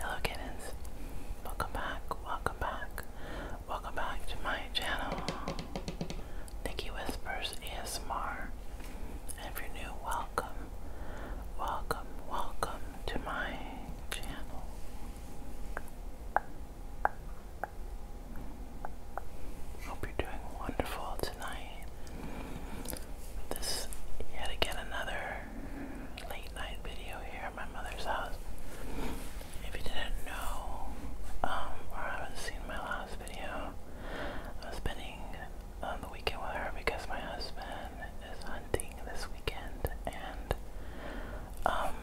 Hello kittens, welcome back, welcome back, welcome back to my channel, Nikki Whispers ASMR, and if you're new, welcome, welcome, welcome to my channel. Hope you're doing wonderful tonight. This yet again another late night video here at my mother's house. If you didn't know, um, or haven't seen my last video, I'm spending um, the weekend with her because my husband is hunting this weekend and um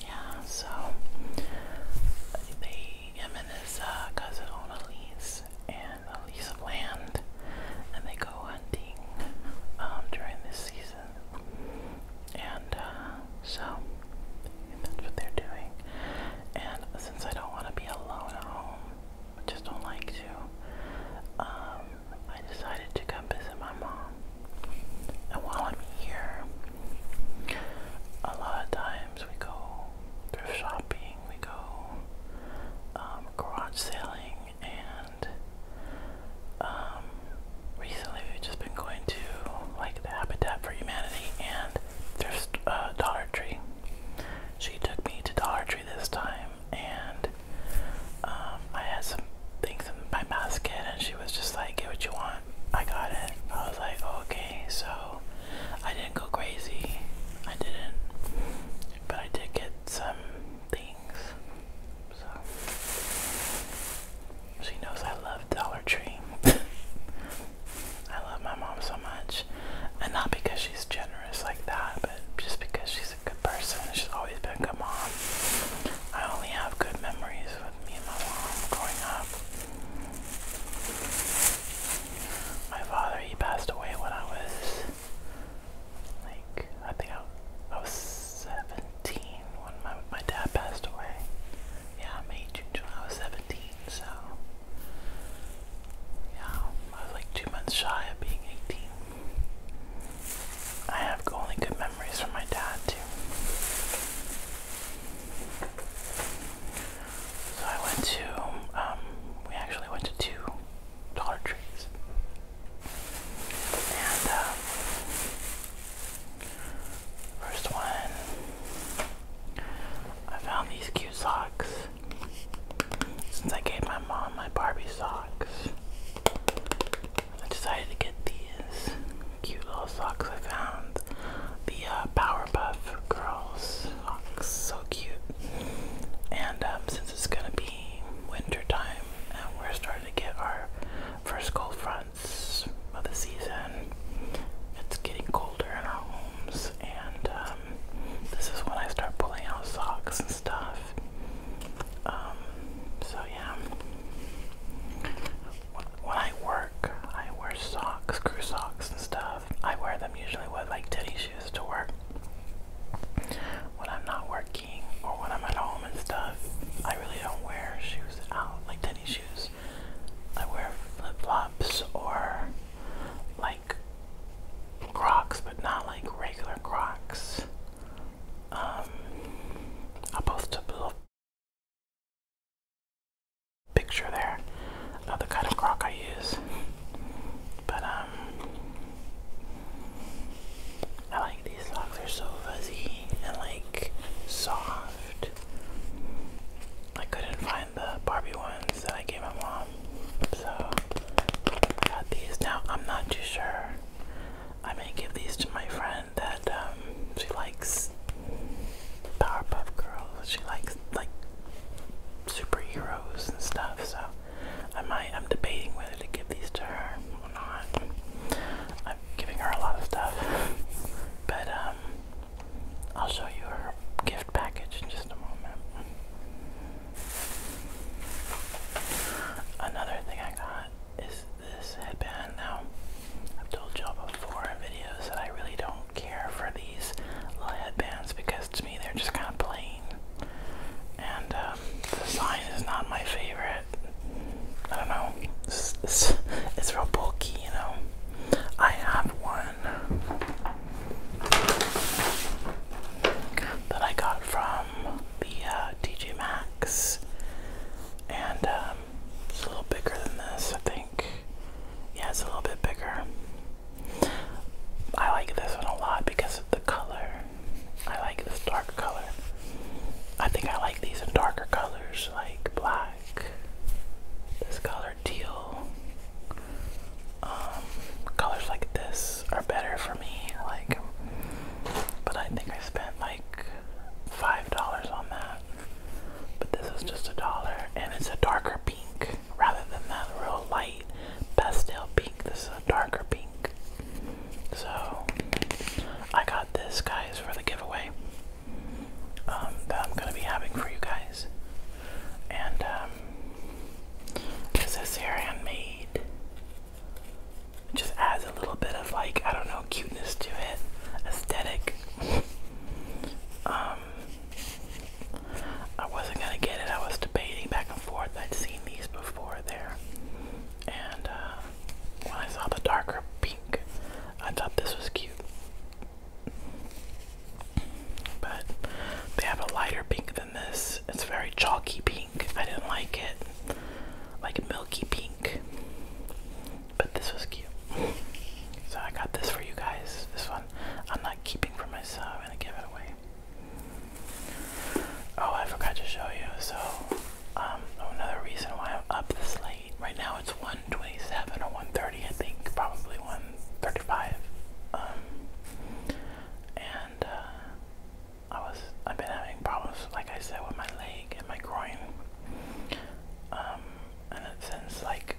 yeah, so they him and his uh, cousin own a lease and a lease of land and they go hunting um, during this season. And uh, so that's what they're doing. And since I don't want to be alone at home, I just don't like to, um, I decided to come visit my mom. And while I'm here, a lot of times we go thrift shopping, we go um, garage selling, and um, recently we've just been going to like the Habitat for Humanity and thrift uh, Dollar Tree. She took me to Dollar Tree this time, and um, I had some things in my basket, and she was just like, "Get what you want." I got it. I was like, oh, "Okay, so." I didn't go crazy. I didn't, but I did get some things. So she knows I love Dollar Tree. I love my mom so much, and not because she's generous like that, but just because she's a good person. She's always been a good mom. I only have good memories with me and my mom growing up. My father, he passed away when I was like I think I, was seventeen when my my dad passed away. Yeah, I'm eighteen, July. I was seventeen, so yeah, I was like two months shy of being eighteen. I have only good memories from my dad too. So I went to, um, we actually went to two Dollar Trees. And, uh, first one, I found these cute socks. Since I gave my mom my Barbie socks, I decided to get these cute little socks I found. The uh, Powerpuff Girls looks so cute. And um, since it's gonna be wintertime, and we're starting to get our first cold fronts of the season, it's getting colder in our homes, and um, this is when I start pulling out socks and stuff. Um, so yeah, when I work, I wear socks, crew socks and stuff. I wear them usually with like tennis shoes to work. When I'm not working or when I'm at home and stuff, I really don't wear shoes out, like tennis shoes. I wear flip flops or like Crocs, but not like regular Crocs. Um, I'll a little picture there of the kind of Croc I use. But um I like these socks, they're so fuzzy and like soft. I couldn't find the Barbie ones that I gave my mom. So I got these. Now I'm not too sure. I may give these to my friend that um, she likes Powerpuff Girls. She likes like superheroes and stuff. So I might. I'm debating whether to give these to her or not. I'm giving her a lot of stuff, but um, I'll show you her gift package in just a moment. Another thing I got is this headband. Now, I've told y'all before in videos that I really don't care for these little headbands because to me they're just kind of plain. And um, the design is not my favorite. I don't know. It's, real bulky, you know. I have one that I got from the uh, TJ Maxx, and um, it's a little bigger than this, I think. Yeah, it's a little bit bigger. I like this one a lot because of the color. I like this dark color. I think I like these in darker colors like black, this color teal. Um, colors like this are better for me. Like, but I think I spent like five dollars on that. But this is just a dollar, and it's a darker pink rather than that real light pastel pink. This is a darker pink. So I got this, guys, for the giveaway um, that I'm gonna be having for you guys. And um, this here handmade. just adds a little bit of like I don't know cuteness to it, aesthetic. Um, I wasn't gonna get it. I was debating back and forth. I'd seen these before there, and uh, when I saw the darker pink, I thought this was cute. But they have a lighter pink than this. It's very chalky pink. I didn't like it, like milky pink. But this was cute. So I got this for you guys. This one I'm not keeping for myself. I'm gonna give it away. Oh, I forgot to show you. So, um, another reason why I'm up this late. Right now it's 127 or 130, I think, probably 135. Um, and uh, I was, I've been having problems, like I said, with my leg and my groin. Um, and it since like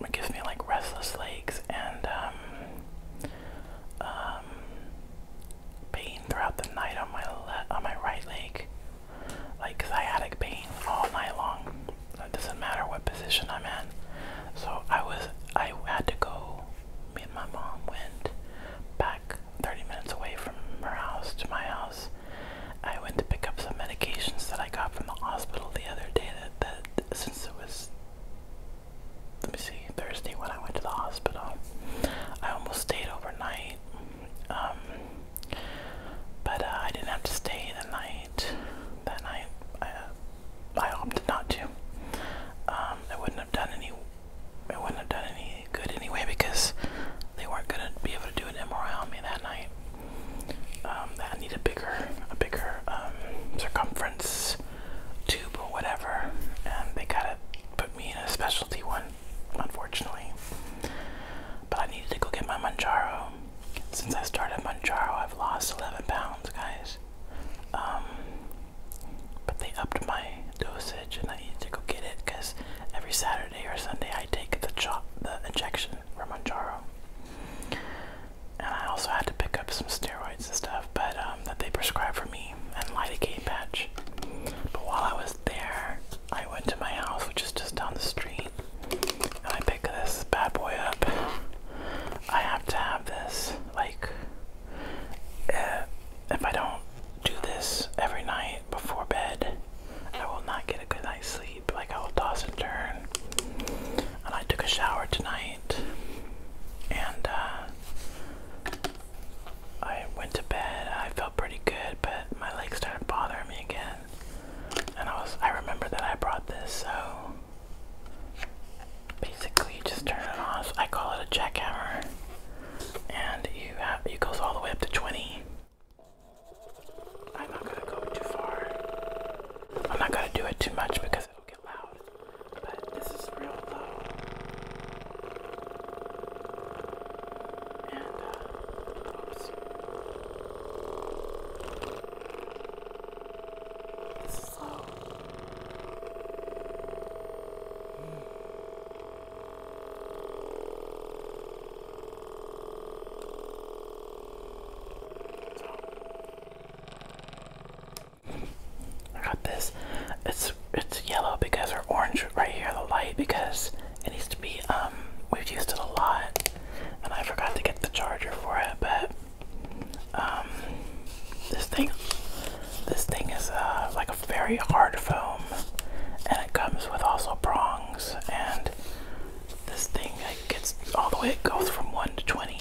it gives me like restless legs and um, um, pain throughout the night on my le on my right leg, like sciatic pain all night long. It doesn't matter what position I'm in. So I was I had to go. Me and my mom went back 30 minutes away from her house to my house. I went to pick up some medications that I got from the hospital the other day. That that since it was let me see, Thursday when I went to the hospital. I almost stayed overnight, um, but uh, I didn't have to stay the night. That night, uh, I, opted not to. Um, it wouldn't have done any. It wouldn't have done any good anyway because they weren't gonna be able to do an MRI on me that night. Um, I need a bigger, a bigger um, circumference tube or whatever, and they gotta put me in a specialty one, unfortunately. But I needed to go get my Manjaro. Since I started Manjaro, I've lost 11 pounds, guys. Um, but they upped my dosage, and I needed to go get it because every Saturday or Sunday I take the chop, the injection for Manjaro and I also had to pick up some steroids and stuff, but um, that they prescribed for me and lidocaine patch. But while I was there, I went to my house, which is just down the street, and I picked this bad boy up. I have to have this, like, uh, if I don't do this every night before bed, I will not get a good night's sleep. Like I will toss and turn. And I took a shower tonight and uh, I went to bed. I felt pretty good, but my legs started bothering me again. And I was I remember that I brought this, so basically just turn it off. I call it a jackhammer. And you have, it goes all the way up to 20. I'm not gonna go too far. I'm not gonna do it too much because it'll won't get loud, but this is real low. And, uh, oops. This is low. Mm. So, I got this. It's it's yellow because or orange right here, the light because it needs to be um we've used it a lot and I forgot to get the charger for it, but um this thing this thing is uh like a very hard foam and it comes with also prongs and this thing like gets all the way it goes from one to twenty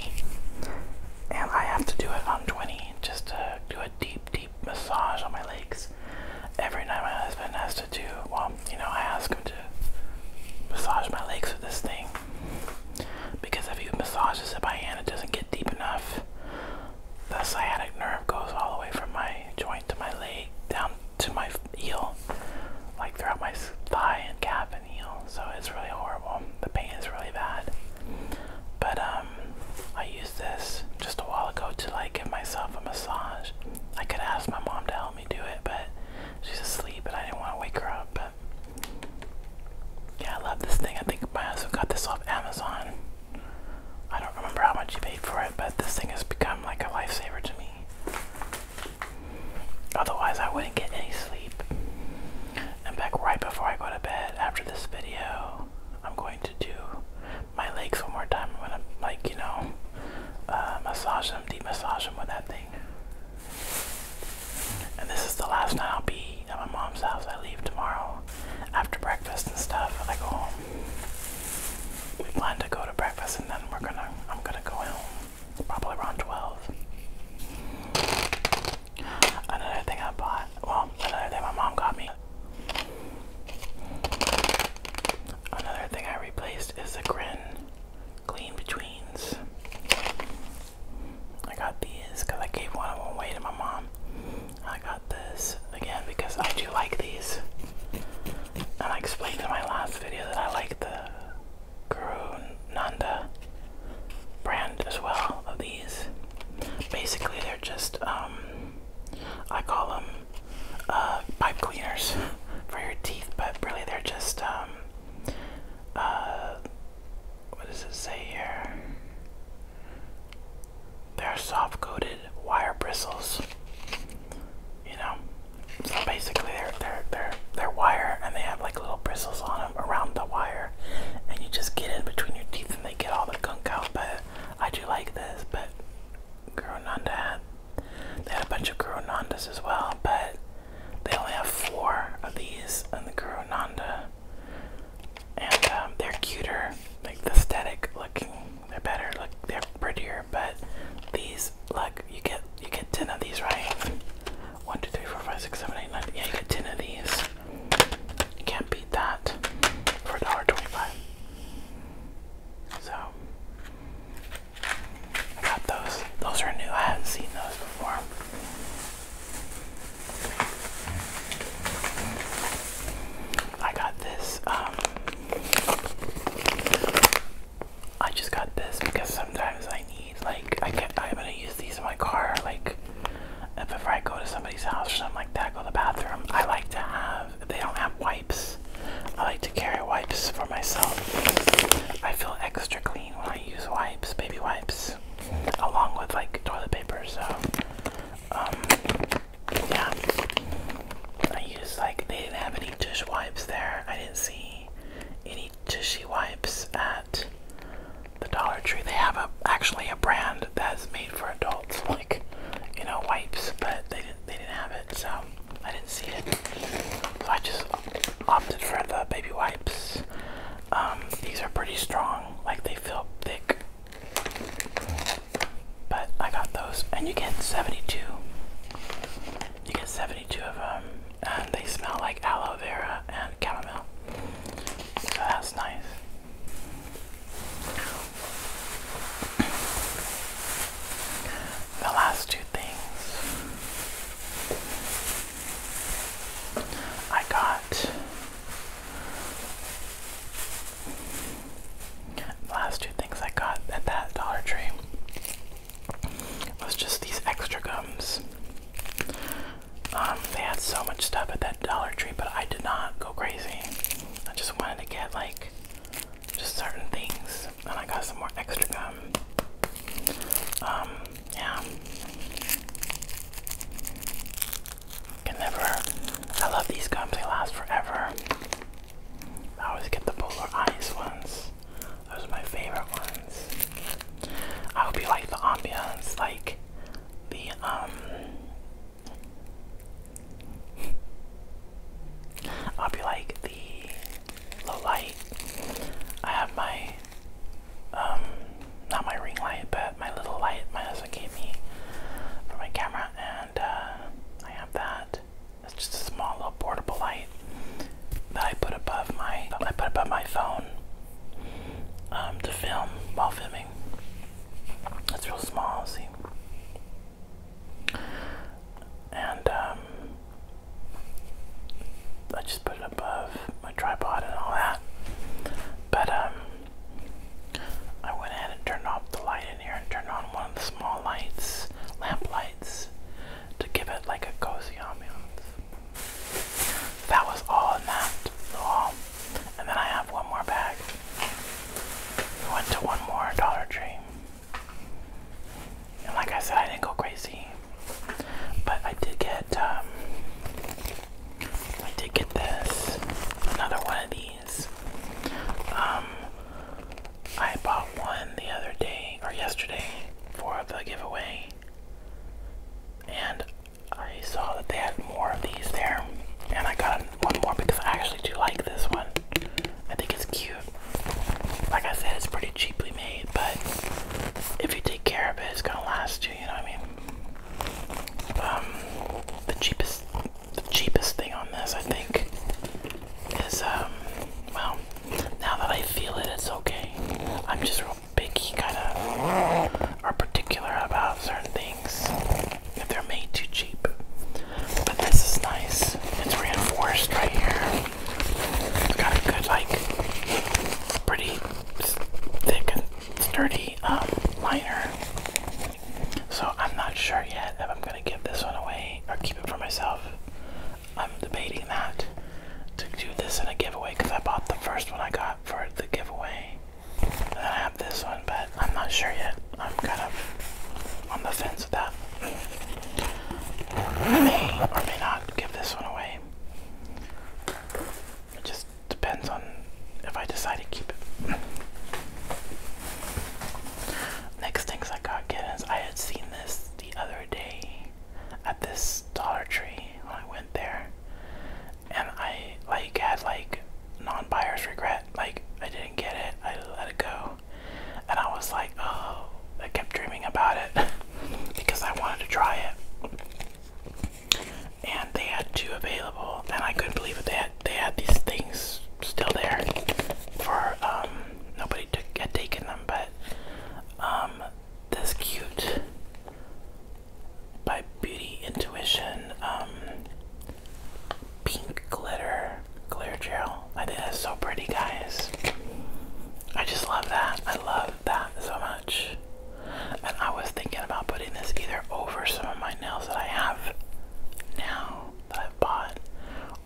and I have to do it on 20 just to do a deep, deep massage on my legs. Every night, my husband has to do, well, you know, I ask him to massage my legs with this thing because if you massage massages it by hand, it doesn't get deep enough. The sciatic nerve goes all the way from my joint to my leg down to my heel, like throughout my thigh and calf so it's really horrible. The pain is really bad. But um, I used this just a while ago to like give myself a massage. I could ask my mom to help me do it, but she's asleep, and I didn't want to wake her up. But yeah, I love this thing. I think my husband got this off Amazon. I don't remember how much you paid for it, but this thing has become like a lifesaver to me. Otherwise, I wouldn't get any sleep. And back right before I go to bed after this video, I'm going to do my legs one more time. I'm gonna like you know uh, massage them, deep massage them with that thing. And this is the last night I'll be at my mom's house. I leave tomorrow after breakfast and stuff. I go home. plan to go to breakfast and then we're gonna. I'm gonna go home probably around twelve. Another thing I bought, well, another thing my mom got me. Another thing I replaced is the Grin Clean Betweens. I got these because I gave one of them away to my mom. I got this again because I do like these. And I explained in my last video that I like the Guru brand as well of these. Basically, they're just, um, I call them uh, pipe cleaners for your teeth, but really they're just, um, uh, what does it say here? They're soft coated wire bristles. You know, so basically they're they're they're they're wire and they have like little bristles on them around the wire and you just get in between your teeth and they get all the gunk out. But I do like this, but Guronanda had they had a bunch of Guronandas as well, but they only have four of these in the Guronanda. And um, they're cuter, like the aesthetic looking. They're better, look they're prettier, but these look you get you get ten of these, right? One, two, three, four, five, six, seven, eight, nine. Yeah, you get ten of these. You can't beat that for $1.25. So got those. Those are new. I hadn't seen those before. I got this. Um, I just got this because sometimes I need need. Like I can I'm gonna use these in my car. Like before I go to somebody's house or something like that, go to the bathroom. I like to have. If they don't have wipes. I like to carry wipes for myself. I feel extra clean when I use wipes, baby wipes, along with like toilet paper. So, um, yeah, I use like they didn't have any dish wipes there. I didn't see any tushy wipes at the Dollar Tree, they have a actually a brand that's made for adults, like you know wipes, but they didn't they didn't have it, so I didn't see it. So I just opted for the baby wipes. Um, these are pretty strong, like they feel thick. But I got those, and you get 72. You get 72 of them, and they smell like aloe vera and chamomile. So that's nice. The last two things I got. last two things I got at that Dollar Tree was just these extra gums. Um, they had so much stuff at that Dollar Tree, but I did not go crazy. I just wanted to get like just certain things, and I got some more extra gum. Um, yeah. Can never. I love these gums. They last forever. I always get the polar ice ones. Those are my favorite ones. I hope you like the ambiance. Like the um I'll be like the low light. I have my um not my ring light but my little light my husband gave me for my camera and uh I have that. It's just a small little portable light that I put above my I put above my phone um, to film while filming. It's real small, see? And um, I just put it above my tripod and all that. But um, I went ahead and turned off the light in here and turned on one of the small lights, lamp lights, to give it like a cozy ambiance. That was all in that haul. And then I have one more bag. We went to one more Dollar Tree. And like I said, I didn't go crazy. But I did get, um, I did get this. Another one of these. Um, I bought one the other day, or yesterday, for the giveaway. And I saw that they had more of these there, and I got one more because I actually do like this one. I think it's cute. Like I said, it's pretty cheaply made, but if you take care of it, it's gonna last you. You know what I mean? Um, the cheapest, the cheapest thing on this, I think, is um, well, now that I feel it, it's okay. I'm just real picky kind of are particular about certain things if they're made too cheap. But this is nice. It's reinforced right here. It's got a good like pretty thick and sturdy um, liner. So I'm not sure yet if I'm gonna give this one away or keep it for myself. I'm debating that to do this in a giveaway because I bought the first one I got for the giveaway. I have this one, but I'm not sure yet. I'm kind of on the fence with that. or may not give this one away. It just depends on if I decide to keep it. Next things I got given is I had seen this the other day at this Dollar Tree when I went there and I like had like non-buyer's regret. Like I didn't get it. I let it go, and I was like, oh, I kept dreaming about it because I wanted to try it. And they had two available, and I couldn't believe it. They had they had these things still there for um nobody took had taken them, but um this cute by Beauty Intuition um, Pink Glitter Glitter Gel. I think that's so pretty, guys. I just love that. I love that so much. And I was thinking about putting this either over some of my nails that I have now that I've bought,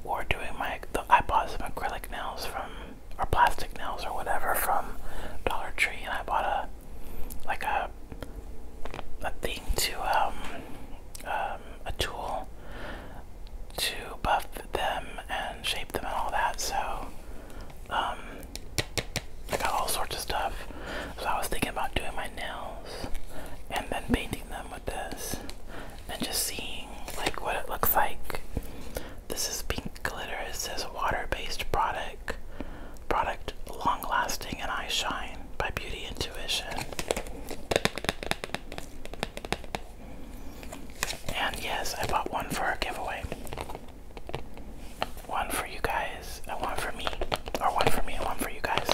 or doing my. I bought some acrylic nails from, or plastic nails or whatever from Dollar Tree, and I bought a like a a thing to um, um, a tool to buff them and shape them and all that. So um, I got all sorts of stuff. So I was thinking about doing my nails and then painting them with this and just seeing like what it looks like. This is pink glitter. It says water-based product. Product Long Lasting and I Shine by Beauty Intuition. And yes, I bought one for a giveaway. One for you guys, and uh, one for me. Or one for me and one for you guys.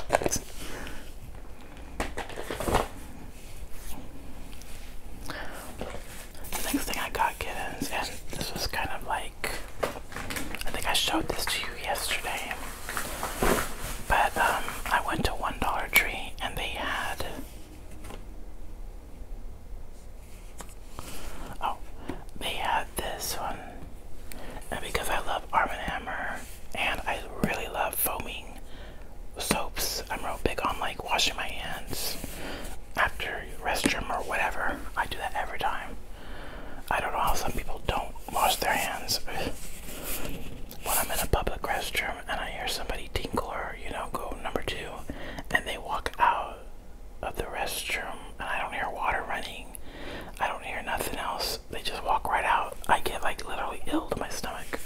The next thing I got kittens, and this was kind of like I think I showed this to you yesterday. But um, I went to one Dollar Tree and they had Oh, they had this one. And because I love Arm & Hammer and I really love foaming soaps, I'm real big on like washing my hands after restroom or whatever. I do that every time. I don't know how some people don't wash their hands. when I'm in a public restroom and I hear somebody tinkle or, you know, go number two, and they walk out of the restroom and I don't hear water running, I don't hear nothing else, they just walk right out, I get like literally ill to my stomach.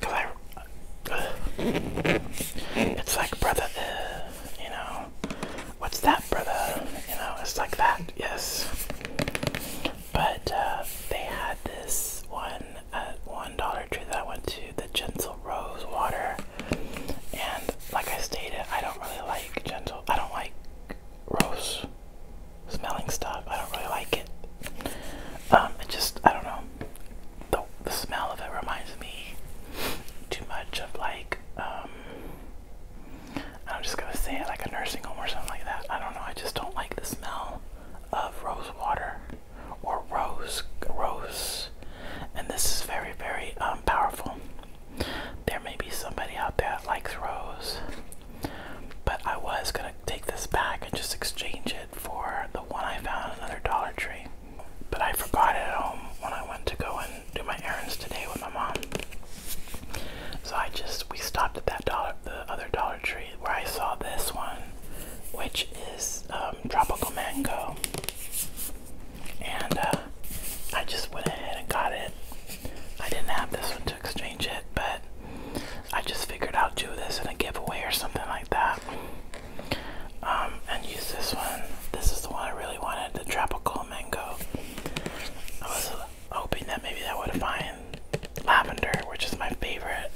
Cause I. it's like, brother, you know, what's that, brother? You know, it's like that, yes. But uh, they had this one at uh, one Dollar Tree that I went to, the Gentle Rose Water, and like I stated, I don't really like gentle. I don't like rose smelling stuff. I don't really like it. Um, it just I don't know. The, the smell of it reminds me too much of like um I'm just gonna say it like a nursing home or something like that. I don't know. I just don't like the smell of rose water or rose rose. And this is very very um, powerful. There may be somebody out there that likes rose, but I was gonna take this back and just exchange it for the one I found at another Dollar Tree. But I forgot it at home when I went to go and do my errands today with my mom. So I just we stopped at that dollar the other Dollar Tree where I saw this one, which is um, tropical mango, and uh, I just went ahead and got it. I didn't have this one to exchange it, but I just figured I'll do this in a giveaway or something like that. Um, and use this one. This is the one I really wanted, the tropical mango. I was hoping that maybe I would find lavender, which is my favorite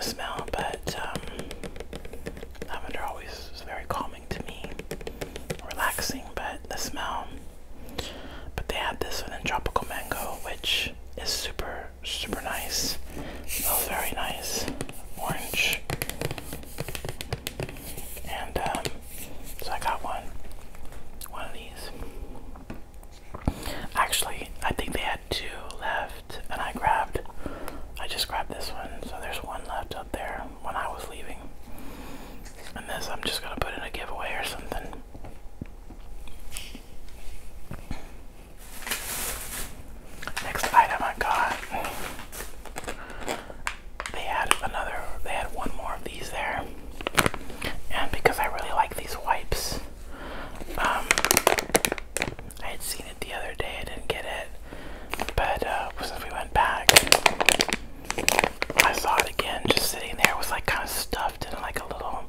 smell, but um, lavender always is very calming to me, relaxing, but the smell. But they had this one in tropical mango, which is super, super nice. Smells very nice. Orange. And um, so I got one, one of these. Actually, I think they had two left, and I grabbed, I just grabbed this one. So there's one left up there when I was leaving. And this I'm just gonna put in a giveaway or something. Next item I got they had another they had one more of these there and because I really like these wipes um I had seen it the other day I didn't get it but uh since we went back I saw it again just sitting there it was like kind of stuffed in like a little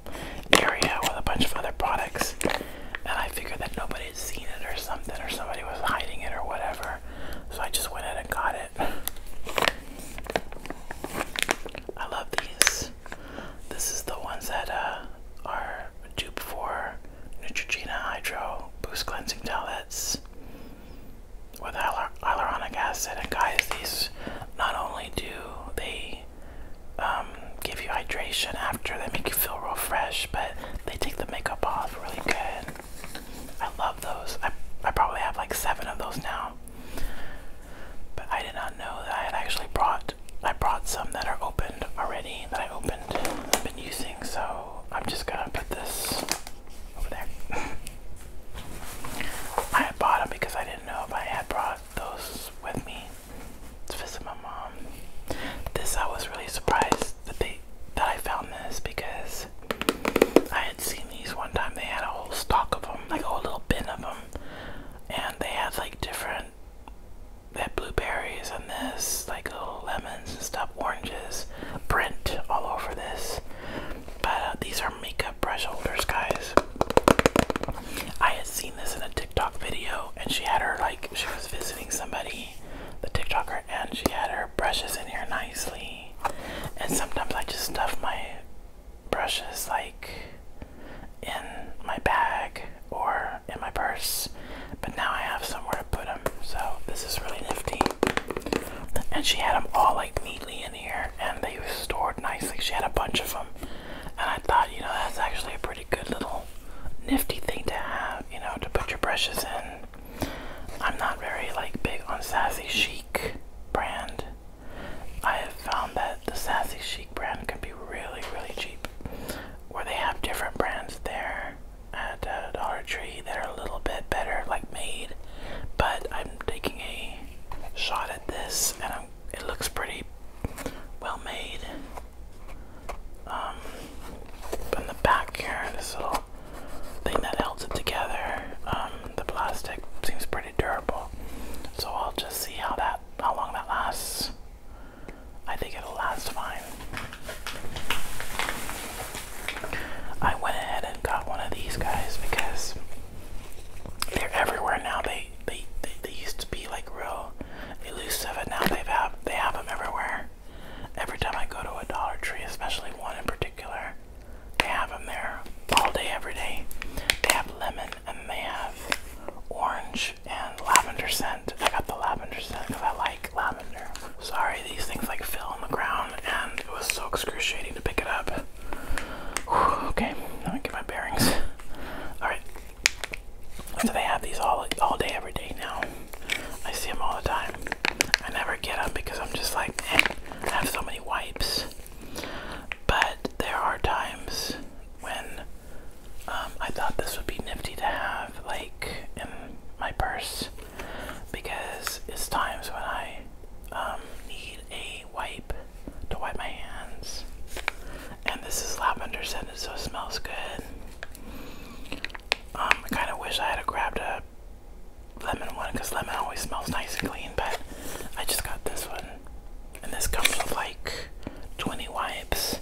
area with a bunch of other products and I figured that nobody had seen it or something or somebody was hiding it or whatever so I just went in and got it I love these. This is the ones that uh, are dupe for Neutrogena Hydro Boost Cleansing Pellets with hyal hyaluronic acid. And guys, these not only do they um, give you hydration after, they make you feel real fresh, but they take the makeup off really good. I love those. I, I probably have like seven of those now. But I did not know that I had actually brought. I brought some that are opened already that I opened and been using, so I'm just gonna put this over there. I had bought them because I didn't know if I had brought those with me to visit my mom. This I was really surprised that they that I found this because I had seen these one time. They had a whole stock of them, like a whole little bin of them. And they had like different, they had blueberries and this, like little lemons and stuff, oranges, print all over this. But uh, these are makeup brush holders, guys. I had seen this in a TikTok video, and she had her like she was visiting somebody, the TikToker, and she had her brushes in here nicely and sometimes I just stuff my brushes like in my bag or in my purse. But now I have somewhere to put them. So this is really nifty. And she had them all like neatly in here and they were stored nicely. She had a bunch of them. And I thought, you know, that's actually a pretty good little nifty thing to have, you know, to put your brushes in I'm not very like big on sassy chic brand. I have found that the sassy chic brand can be really really cheap. Where they have different brands there at uh, Dollar Tree that are a little bit better like made. But I'm taking a shot at this and it looks pretty well made. Um, in the back here, this little thing that holds it together. Um, the plastic seems pretty durable, so I'll just see how that how long that lasts. I think it'll last fine. I went ahead and got one of these guys because they're everywhere now. They they they, they used to be like real elusive, and now they've have they have them everywhere. Every time I go to a Dollar Tree, especially one in particular, they have them there all day, every day. They have lemon and they have orange and lavender scent. I got the lavender scent because I like lavender. Sorry, these things like fell on the ground and it was so excruciating to pick it up. Whew, okay, now I get my bearings. Alright. So they have these all all day every day now. I see them all the time. I never get them because I'm just like, eh, I have so many wipes. But there are times when um, I thought this would be nifty to have, like in my purse, because it's times when I um, need a wipe to wipe my hands. And this is lavender scented, so it smells good. Um, I kind of wish I had grabbed a lemon one because lemon always smells nice and clean, but I just got this one. And this comes with like 20 wipes.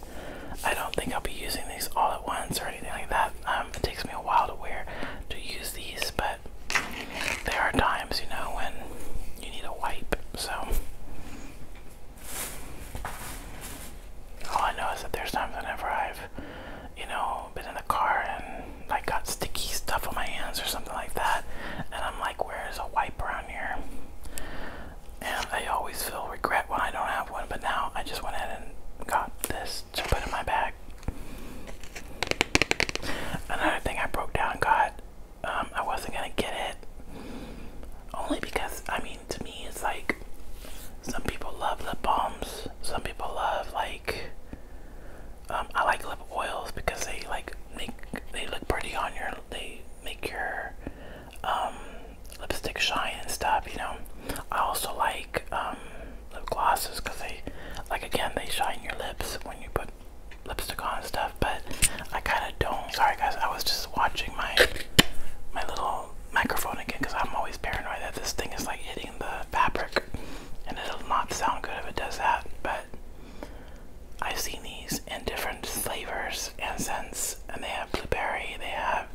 I don't think I'll be using these all at once or anything like that. Um, it takes me a while to wear to use these, but there are times, you know, when you need a wipe. So all I know is that there's times whenever I've, you know, been in the car and like got sticky stuff on my hands or something like that, and I'm like, where's a wipe around here? And I always feel regret when I don't have one, but now I just went ahead and got this to put in my bag. Another thing I broke down, got, um, I wasn't gonna get it. Only because, I mean, to me, it's like some people love lip balms, some people love like um, I like lip oils because they like make they look pretty on your they make your um, lipstick shine and stuff. You know. I also like um, lip glosses because they like again they shine your lips when you put lipstick on and stuff. But I kind of don't. Sorry guys, I was just watching my my little microphone again because I'm always paranoid that this thing is like hitting the fabric, and it'll not sound good if it does that, but I've seen these in different flavors and scents, and they have blueberry, they have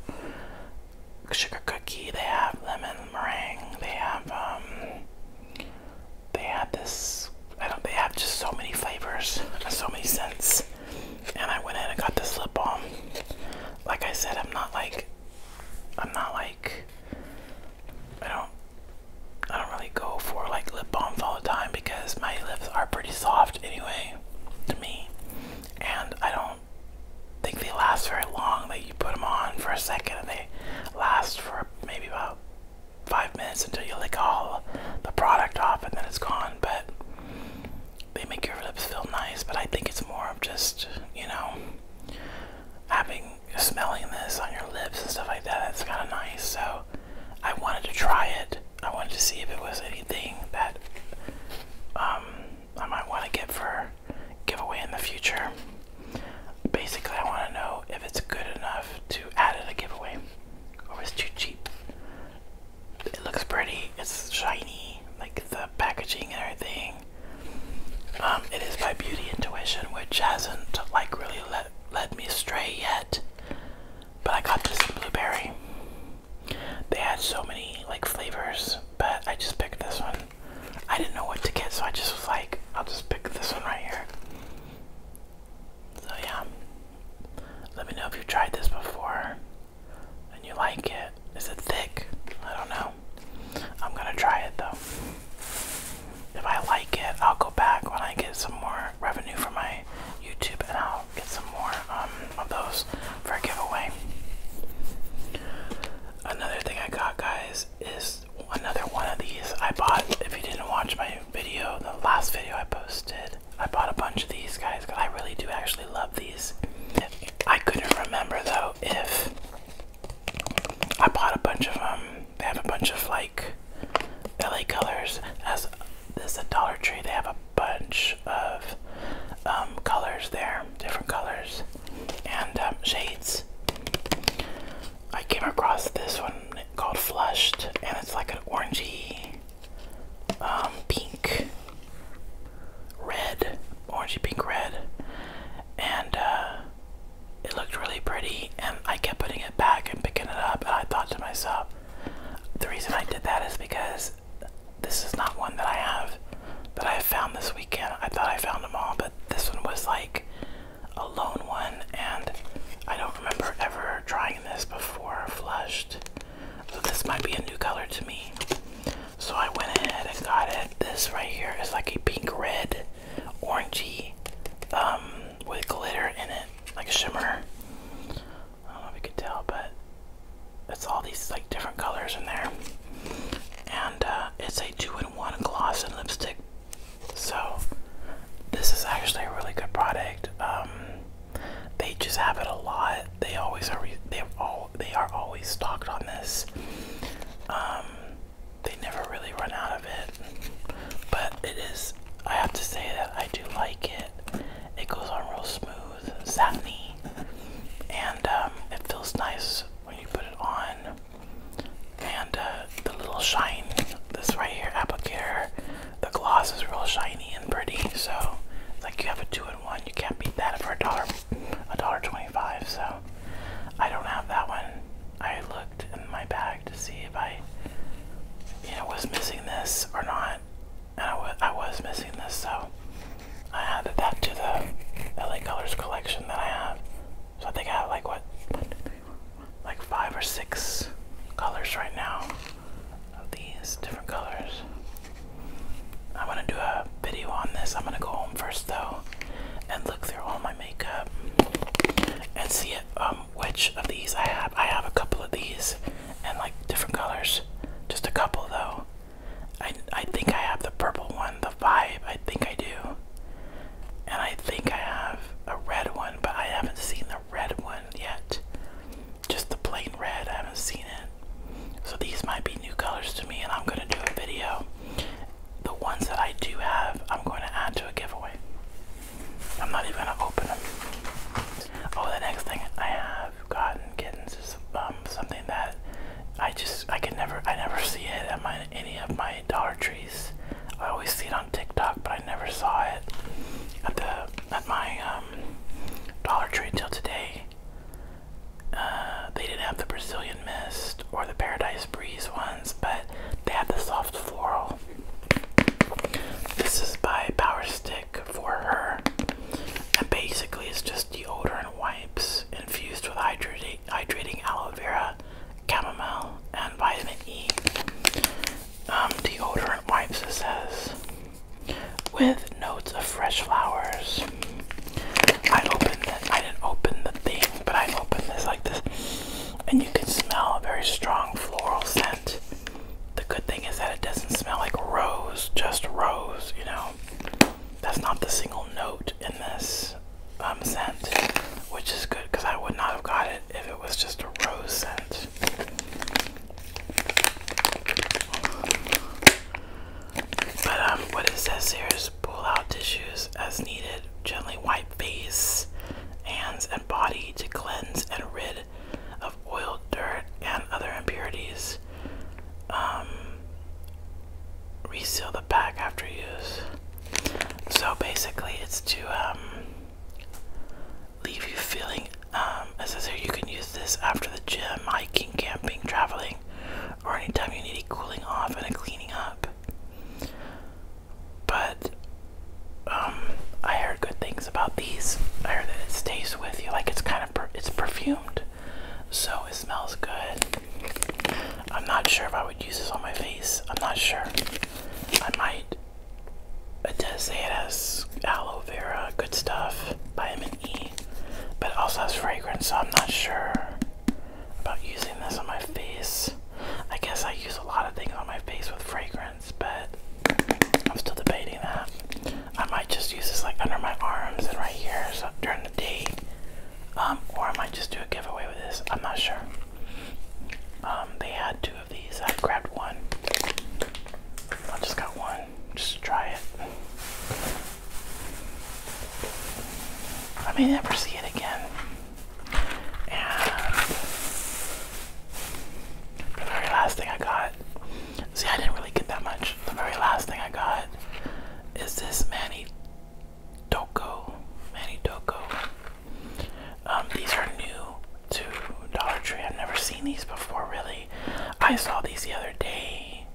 sugar cookie, they have lemon meringue, they have, um, they have this, I don't, they have just so many flavors, so many scents, and I went in and got this lip balm. Like I said, I'm not like, I'm not like, I don't I don't really go for like lip balms all the time because my lips are pretty soft anyway to me. And I don't think they last very long. Like you put them on for a second and they last for maybe about five minutes until you lick all the product off and then it's gone. But they make your lips feel nice. But I think it's more of just, you know, having smelling this on your lips and stuff like that. It's kind of nice. So I wanted to try it. I wanted to see if it was anything that um, I might want to get for giveaway in the future. Basically, I want to know if it's good enough to add it a giveaway or it's too cheap. It looks pretty. It's shiny, like the packaging and everything. Um, it is by Beauty Intuition, which hasn't like really really me astray yet. But I got this blueberry. They had so many like flavors, but I just picked this one. I didn't know what to get, so I just was like, I'll just pick this one right here. So yeah. Let me know if you've tried this before and you like it. Is it thick? I don't know. I'm gonna try it though if I like it, I'll go back when I get some more revenue from my YouTube and I'll get some more um, of those for a giveaway. Another thing I got, guys, is another one of these I bought. If you didn't watch my video, the last video I posted, I bought a bunch of these guys because I really do actually love these. I couldn't remember though if I bought a bunch of them um, they have a bunch of like LA colors. As this is Dollar Tree, they have a bunch of um, colors there, different colors and um, shades. I came across this one called Flushed, and it's like an orangey, um, pink, red, orangey pink red, and uh, it looked really pretty and I kept putting it back and picking it up and I thought to myself the reason I did that is because this is not one that I have that I found this weekend. I thought I found them all but this one was like a lone one and I don't remember ever trying this before flushed. So this might be a new color to me. So I went ahead and got it. This right here is like a pink red orangey um, with glitter in it, like a shimmer. I don't know if you could tell, but it's all these like different colors in there. And uh, it's a two-in-one gloss and lipstick. So this is actually a really good product. Um, they just have it a lot. They always are. They all. They are always stocked on this. Um, they never really run out of it. But it is, I have to say that I do like it. It goes on real smooth, satiny, and um, it feels nice when you put it on. And uh, the little shine, this right here applicator, the gloss is real shiny and pretty. So, like you have a two-in-one, you can't beat that for a dollar, a dollar twenty-five. So, I don't have that one. I look in my bag to see if I, you know, was missing this or not, and I was missing this, so I added that to the LA Colors collection that I have. So I think I have like what, like five or six colors right now of these different colors. I'm gonna do a video on this. I'm gonna go home first though and look through all my makeup and see um, which of these I have. I have a couple of these and like different colors, just a couple though. I, I think I have the purple one, the vibe, I think I do. And I think I have a red one, but I haven't seen the red one yet. Just the plain red, I haven't seen it. So these might be new colors to me, and I'm gonna do a video the ones that I do have, I'm going to add to a giveaway. I'm not even going to open them. Oh, the next thing I have gotten kittens is um, something that I just I can never I never see it at my any of my Dollar Trees. I always see it on TikTok, but I never saw it at the at my um, Dollar Tree until today. Uh, they didn't have the Brazilian Mist or the Paradise Breeze one but they have the soft floral. This is by Power Stick for her. And basically, it's just deodorant wipes infused with hydrating, hydrating aloe vera, chamomile, and vitamin E. Um, deodorant wipes, it says, with notes of fresh flowers. I opened it, I didn't open the thing, but I opened this like this and you can smell a very strong floral scent. The good thing is that it doesn't smell like rose, just rose, you know. That's not the single note in this um, scent, which is good because I would not have got it if it was just a rose scent. But um, what it says here is pull out tissues as needed, gently wipe face, hands, and body to cleanse and rid of oil, dirt, and other impurities. Um, reseal the pack after use. So basically, it's to um, leave you feeling. Um, as it says you can use this after the gym, hiking, camping, traveling, or anytime you need a cooling off and a cleaning up. But um, I heard good things about these. I heard that it stays with you, like it's kind of per it's perfumed, so it smells good. I'm not sure if I would use this on my face. I'm not sure. I might. It does say it has aloe vera, good stuff, vitamin E, but it also has fragrance, so I'm not sure about using this on my face. I guess I use a lot of things on my face with fragrance, but I'm still debating that. I might just use this like under my arms and right here so during the day, um, or I might just do a giveaway with this. I'm not sure. Um, they had two of these. I grabbed one. I just got one. Just try it. I may never see it again. And the very last thing I got, see, I didn't really get that much. The very last thing I got is this Manny Doko. Manny Doko. Um, these are new to Dollar Tree. I've never seen these before, really. I saw these the other day,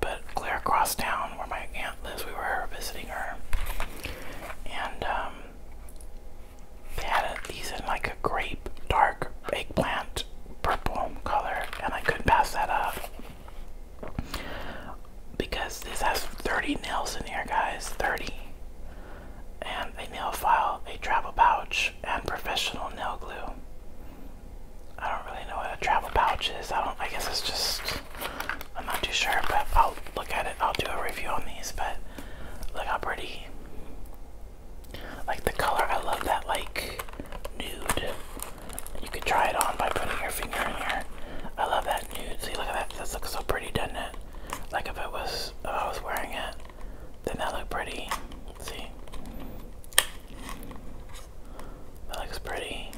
but clear across town where my aunt lives, we were visiting her. And, um, they had these in like a grape, dark eggplant, purple color, and I couldn't pass that up. Because this has 30 nails in here, guys. 30. And a nail file, a travel pouch, and professional nail glue. I don't really know what a travel pouch is. I don't. I guess it's just I'm not too sure, but I'll look at it. I'll do a review on these, but look how pretty. Like the color, I love that like nude. You could try it on by putting your finger in here. I love that nude. See, look at that. This looks so pretty, doesn't it? Like if it was, if I was wearing it, then that look pretty. See, that looks pretty.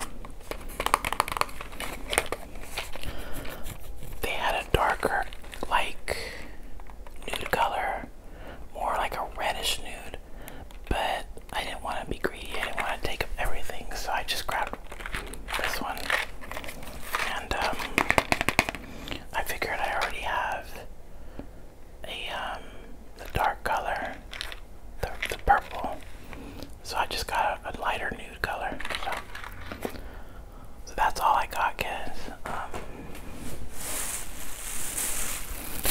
They had darker, like nude color, more like a reddish nude. But I didn't want to be greedy. I didn't want to take up everything, so I just grabbed this one. And um, I figured I already have a um, the dark color, the, purple. So I just got a, a lighter nude color. So so that's all I got, kids. Um,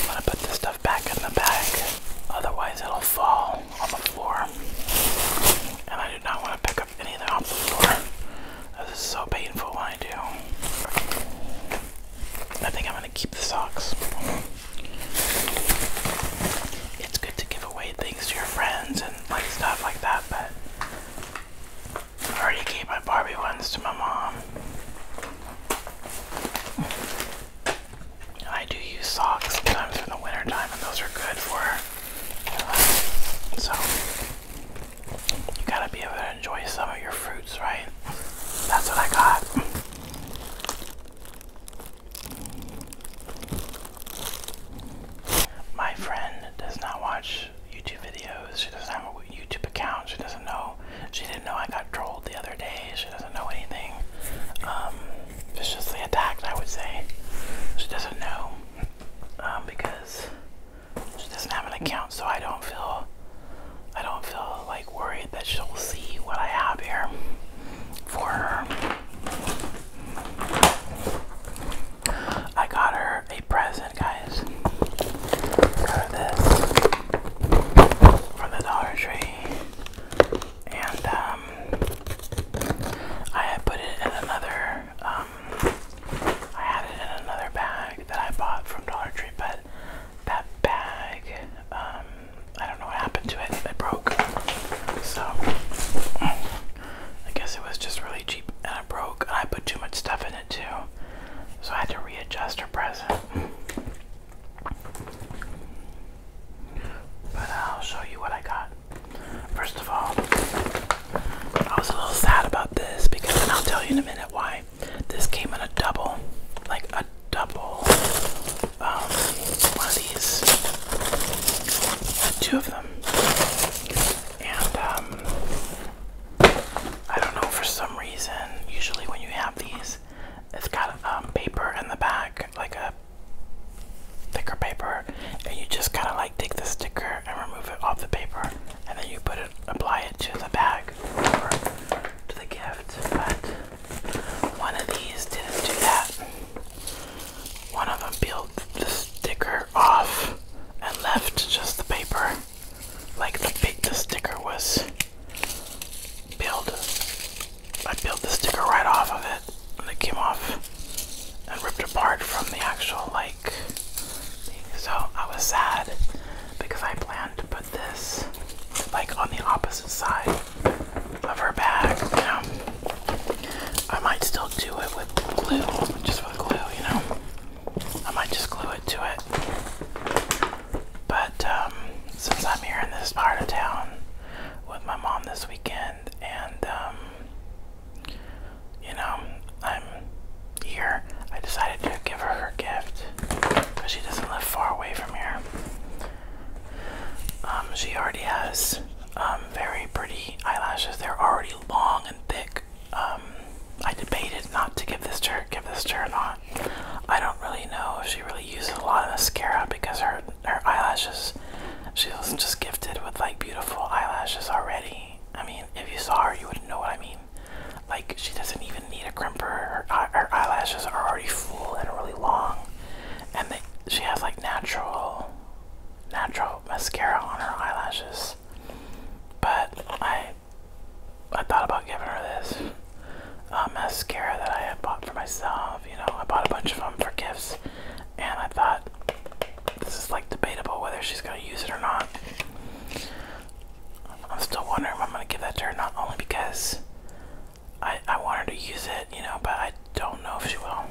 I'm gonna put this stuff back in the bag, otherwise it'll fall on the floor. And I do not want to pick up anything off the floor. This is so painful when I do. I think I'm gonna keep the socks. It's good to give away things to your friends and like stuff like that, but I already gave my Barbie ones to my mom. I do use socks sometimes in the winter time, and those are good for so you gotta be able to enjoy some of your fruits, right? That's what I got. My friend does not watch YouTube videos. She doesn't have a YouTube account. She doesn't know. She didn't know I got trolled the other day. She doesn't know anything. Um, viciously attacked, I would say. She doesn't know um, because she doesn't have an account. So I don't feel, I don't feel like worried that she'll see what I have here for her. I got her a present, guys. Got this from the Dollar Tree, and um, I had put it in another. Um, I had it in another bag that I bought from Dollar Tree, but that bag, um, I don't know what happened to it. It broke, so I guess it was just really cheap broke, I put too much stuff in it too, so I had to readjust her present. But I'll show you what I got. First of all, I was a little sad about this because, and I'll tell you in a minute why. This came in a double, like a double, um, one of these, two of them. And um, I don't know for some reason. Usually when you have these, it's got um, paper in the back, like a thicker paper, and you just kind of like take the sticker and remove it off the paper, and then you put it, apply it to the bag or to the gift. But one of these didn't do that. One of them peeled the sticker off and left just the paper. Like the sticker was peeled. I peeled the sticker right off of it and it came off and ripped apart from the actual like So I was sad because I planned to put this like on the opposite side of her bag, I might still do it with glue, just with glue, you know. I might just glue it to it. But um, since I'm here in this part of town with my mom this weekend, and um, you know, I'm here, I decided to give her her gift because she doesn't live far away from here. Um, she already has very pretty eyelashes. They're already long and thick um, I debated not to give this to her, give this to her or not. I don't really know if she really uses a lot of mascara because her her eyelashes, she was just gifted with like beautiful eyelashes already. I mean, if you saw her, you would know what I mean. Like she doesn't even need a crimper. Her, eyelashes are already full and really long, and she has like natural, natural mascara on her eyelashes but I I thought about giving her this um, mascara that I had bought for myself. You know, I bought a bunch of them for gifts, and I thought this is like debatable whether she's gonna use it or not. I'm still wondering if I'm gonna give that to her, not only because I I want her to use it, you know, but I don't know if she will.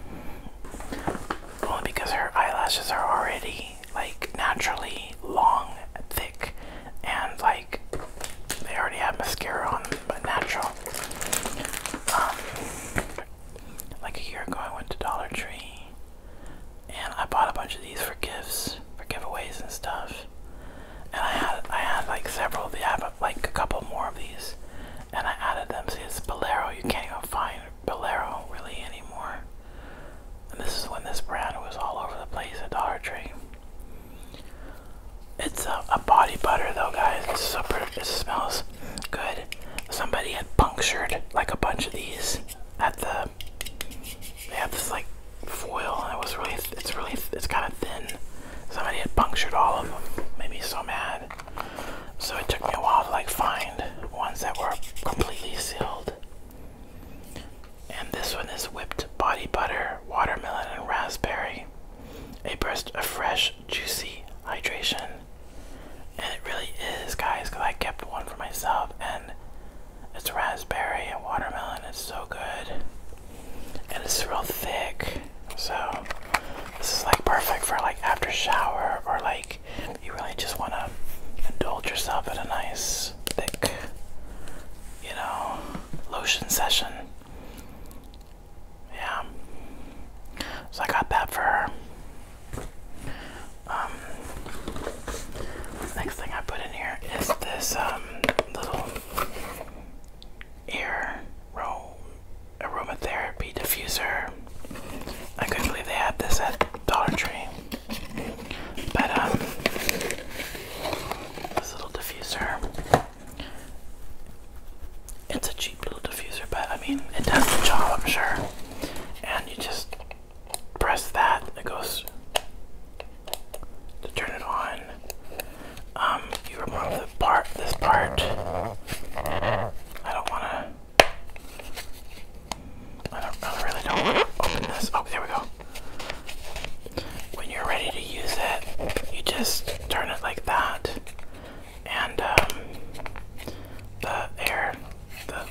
Only because her eyelashes are already like naturally long thick and like they already have mascara on them but natural. Um, like a year ago I went to Dollar Tree and I bought a bunch of these for gifts, for giveaways and stuff. And I had I had like several of the I have like a couple more of these and I added them. See it's Bolero you can't even find Bolero really anymore. And this is when this brand was all over the place at Dollar Tree. It's a, body butter though, guys. It's super. It smells good. Somebody had punctured like a bunch of these at the. They have this like foil, and it was really. It's really. It's kind of thin. Somebody had punctured all of them. Made me so mad. So it took me a while to like find ones that were completely sealed. And this one is whipped body butter, watermelon, and raspberry. A burst of fresh, juicy hydration. And it really is, guys, because I kept one for myself. And it's raspberry and watermelon. It's so good. And it's real thick. So this is like perfect for like after shower or like you really just want to indulge yourself in a nice, thick, you know, lotion session. Yeah. So I got that for her. Um, next thing I put in here is this um, little ear aroma therapy diffuser I couldn't believe they had this at Dollar Tree. But um this little diffuser. It's a cheap little diffuser, but I mean it does the job I'm sure. And you just press that it goes to turn it on. Um, you remove the part this part. I don't wanna I really don't open this. Oh, there we go. When you're ready to use it, you just turn it like that, and um, the air, the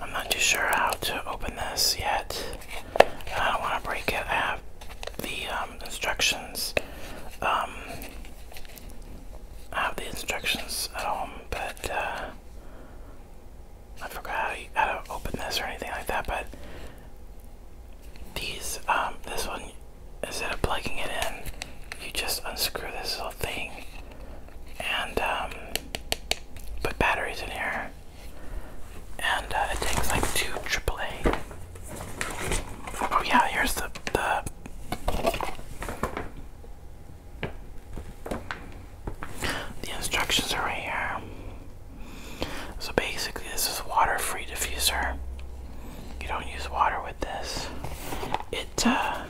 I'm not too sure how to open this yet. Uh, I don't want to break it. I have the um, instructions. Um, I have the instructions at home, but uh, I forgot how, to open this or anything like that. But these, um, this one, instead of plugging it in, you just unscrew this little thing and put batteries in here. And uh, it takes like two AAA. Oh yeah, here's the the the instructions are right here. So basically, this is water-free diffuser. You don't use water with this. It uh,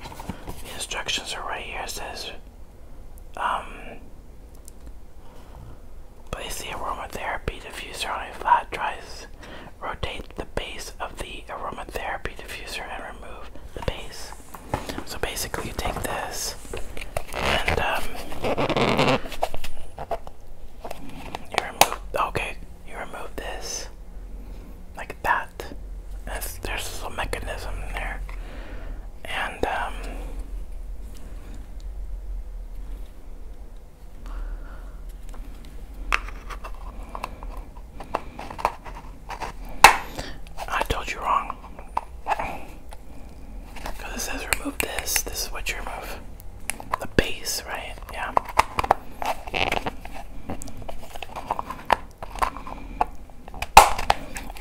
the instructions are right here. It says um, place the aromatherapy diffuser on a flat drive. Rotate the base of the aromatherapy diffuser and remove the base. So basically, you take this and um, you remove. Okay, you remove this like that. There's, there's a mechanism there and um, I told you wrong. Because it says remove this. This is what you remove. The base, right? Yeah.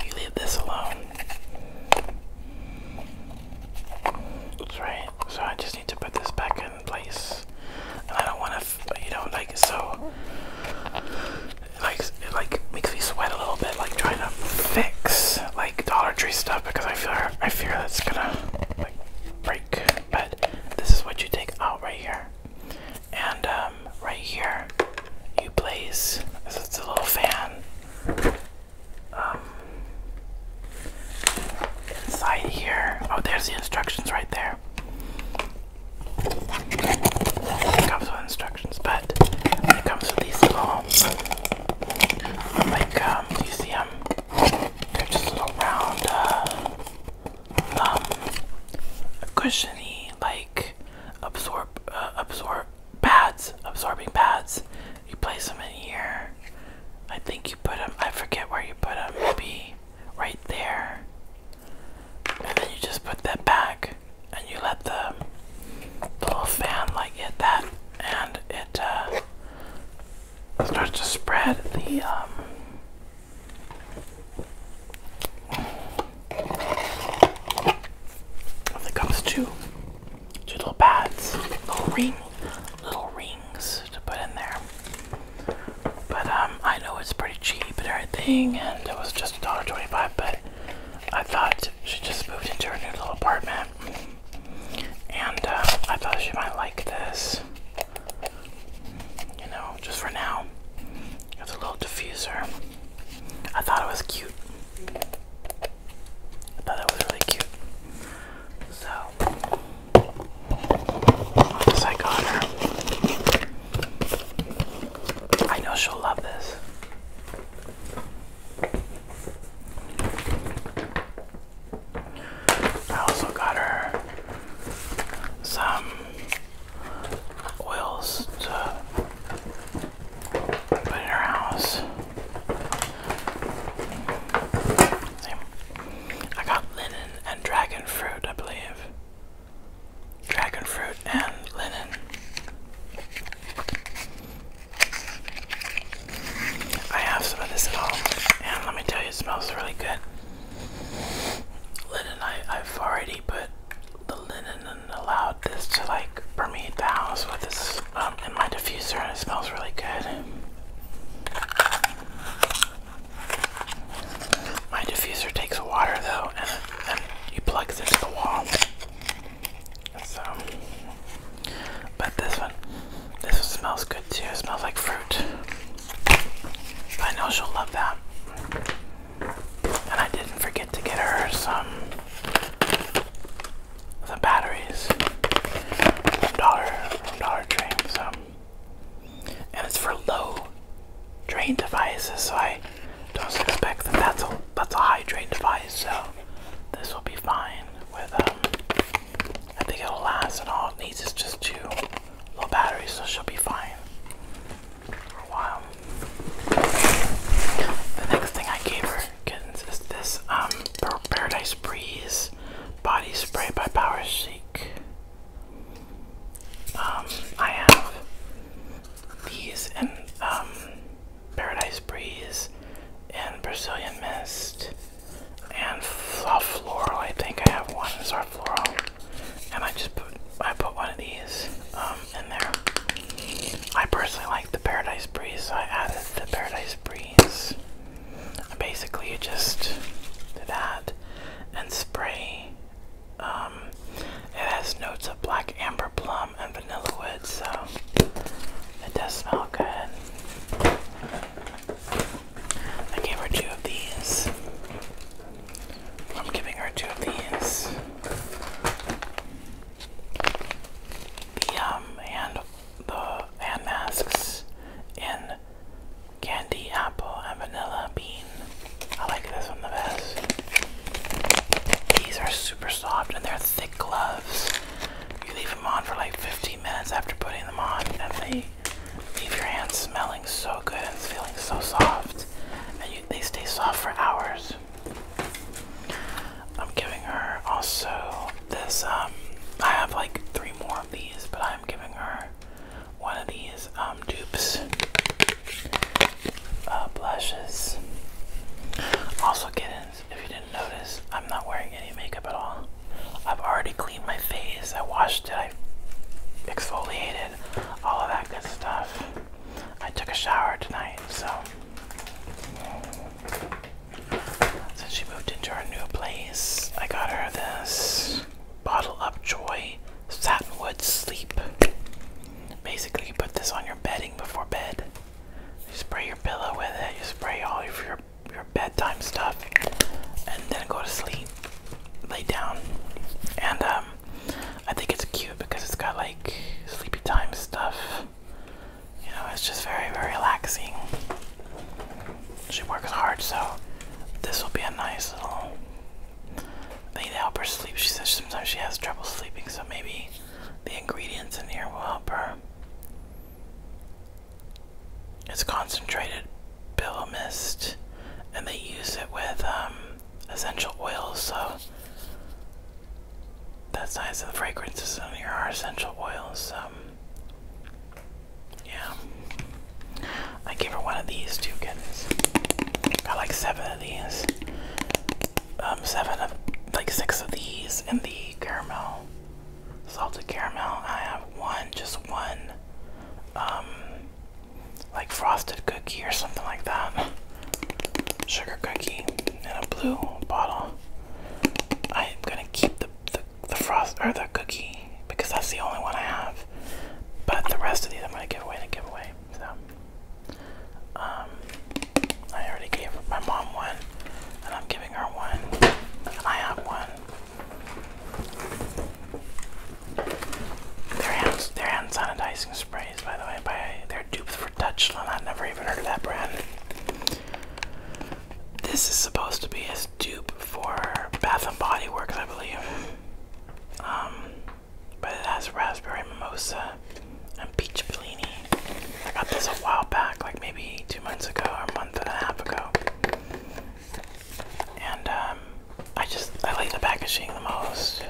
You leave this alone. That's right. So I just need to put this back in place, and I don't want to, you know, like so. It like it like makes me sweat a little bit, like trying to fix like Dollar Tree stuff because I fear I fear that's gonna like break. But this is what you take out right here, and um, right here you place. So it's a little fan um, inside here. Oh, there's the instructions right there. comes with instructions, but it comes with these little, like, um, do you see them? They're just little round, um, cushiony, like, absorb, uh, absorb, pads, absorbing pads. You place them in here. I think you put them, I forget where you put them, maybe right there. And then you just put that back and you let the, little fan like hit that and it uh, starts to spread the um, it comes to two little pads, little ring, little rings to put in there. But um, I know it's pretty cheap and everything, and it was just $1.25, but I thought she just moved into her new little apartment, and uh, I thought she might like this. You know, just for now. It's a little diffuser. I thought it was cute. I thought that was really cute. So, once I got her, I know she'll love this. I also got her some oils to Put in our house. I got linen and dragon fruit, I believe. Dragon fruit and linen. I have some of this at home, and let me tell you, it smells really good. Linen, I, I've already put the linen and allowed this to like permeate the house with this um, in my diffuser, and it smells really good. My diffuser takes water though, and, and you plug it into the wall. So, but this one, this one smells good too. smells like fruit. I know she'll love that. And I didn't forget to get her some the batteries from Dollar from Dollar So, and it's for low drain devices. So I don't expect that that's a that's a high drain device. So this will be fine with um. I think it'll last, and all it needs is just two little batteries, so she'll be fine for a while. The next thing I gave her is this um, Paradise Breeze body spray by Power Chic. Um, I have these and um, Paradise Breeze and Brazilian Mist and Soft Floral. I think I have one. It's our floral, and I just put I put one of these in there. I personally like the Paradise Breeze, so I added the Paradise Breeze. Basically, you just do that and spray. Um, it has notes of black amber plum and vanilla wood, so it does smell good. I gave her two of these. I'm giving her two of these the um and the hand masks in candy apple and vanilla bean. I like this one the best. These are super soft and they're thick gloves. You leave them on for like 15 minutes after putting them on and they leave your hands smelling so good and feeling so soft. And they stay soft for hours. I'm giving her also this. Um, I have like three more of these, but I'm giving her one of these um, dupes uh, blushes. Also, kittens, if you didn't notice, I'm not wearing any makeup at all. I've already cleaned my face. I washed it. I exfoliated all of that good stuff. I took a shower tonight, so since she moved into our new place, I got her this bottle up joy satinwood sleep. Basically, you put this on your bedding before bed. You spray your pillow with it. You spray all of your your bedtime stuff, and then go to sleep. Lay down, and um, I think it's cute because it's got like sleepy time stuff you know, it's just very, very relaxing. She works hard, so this will be a nice little thing to help her sleep. She says sometimes she has trouble sleeping, so maybe the ingredients in here will help her. It's concentrated pillow mist, and they use it with um, essential oils, so that's nice. The fragrances on here are essential oils. Um, yeah. I gave her one of these two goodness. Got like seven of these. Um, seven of, like six of these and the caramel, salted caramel. I have one, just one, um, like frosted cookie or something like that. Sugar cookie in a blue bottle. I am gonna keep the, the the frost or the cookie because that's the only one I have. But the rest of these I'm gonna give away to give away. So um I already gave my mom one and I'm giving her one and I have one. Their hands their hand sanitizing sprays by the way by they're dupes for Touchland. I've never even heard of that brand. This is supposed to be his dupe for Bath and Body Works, I believe. Um, but it has raspberry mimosa and peach bellini. I got this a while back, like maybe two months ago or a month and a half ago. And um, I just I like the packaging the most.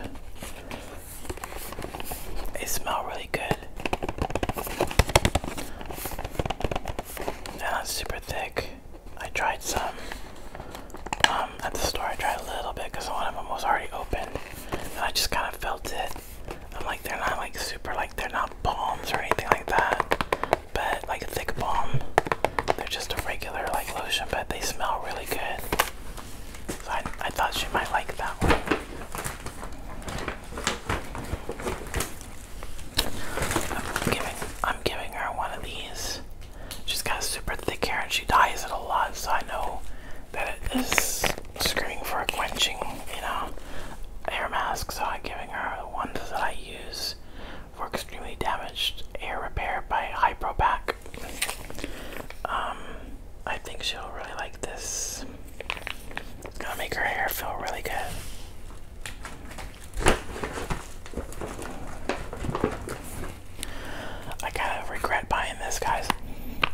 They smell really good. they super thick. I tried some um, at the store. I tried a little bit because one of them was already open, and I just kind of felt it. I'm like, they're not like super, like they're not balms or anything like that, but like a thick balm. They're just a regular like lotion, but they smell really good. So I, I thought she might like that one. I'm giving, her one of these. She's got super thick hair and she dyes it a lot, so I know that it is screaming for a quenching, you know, hair mask. So I'm giving her the ones that I use for extremely damaged hair repair by Hypropack. Um, I think she'll really like this. It's gonna make her hair feel really good. I kind of regret buying this, guys,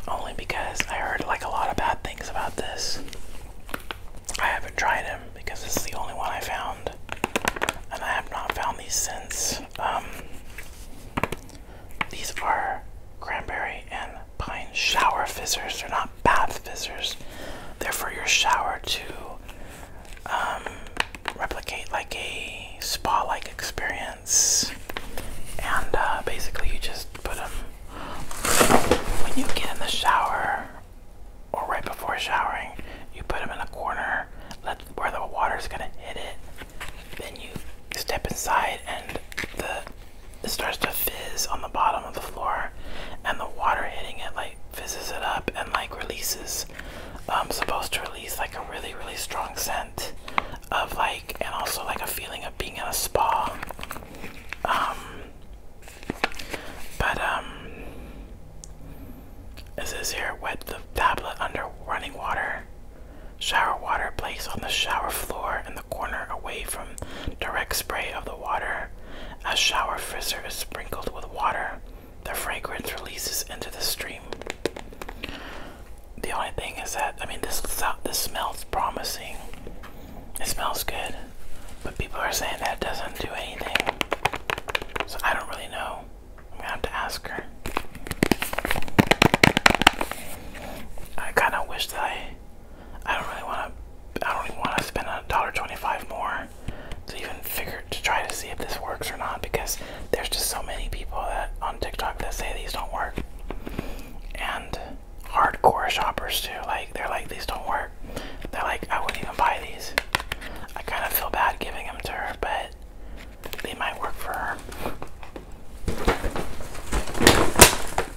only because I heard like a lot of bad things about this. I haven't tried them because this is the only one I found, and I have not found these since. Um, these are cranberry and pine shower fizzers. They're not bath fizzers. They're for your shower to um, replicate like a spa-like experience. And uh, basically, you just put them when you get in the shower or right before showering. You put them in a corner, let where the water is gonna hit it. Then you step inside, and the it starts to fizz on the bottom of the floor, and the water hitting it like fizzes it up and like releases. I'm um, supposed to release like a really, really strong scent of like, and also like a feeling of being in a spa. Um, but um, it here, wet the tablet under running water. Shower water place on the shower floor in the corner away from direct spray of the water. A shower frizzer is sprinkled with water. The fragrance releases into the stream. The only thing is that I mean this this smells promising. It smells good, but people are saying that it doesn't do anything. So I don't really know. I'm gonna have to ask her. I kind of wish that I I don't really want to. I don't even want to spend a dollar twenty-five more to even figure to try to see if this works or not because there's just so many people that on TikTok that say these don't work, and hardcore shoppers too. Like they're like these don't work. They're like I wouldn't even buy these. I kind of feel bad giving them to her, but they might work for her.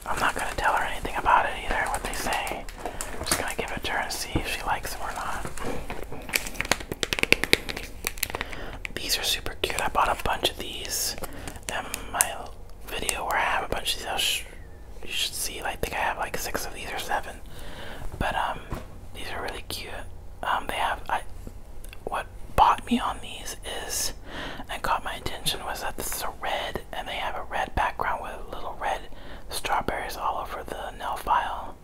I'm not gonna tell her anything about it either, what they say. I'm just gonna give it to her and see if she likes it or not. These are super cute. I bought a bunch of these in my video where I have a bunch of these. you should see, Like, I think I have like six of these or seven. But um, these are really cute. Um, they have I. What bought me on these is and caught my attention was that this is a red and they have a red background with little red strawberries all over the nail file.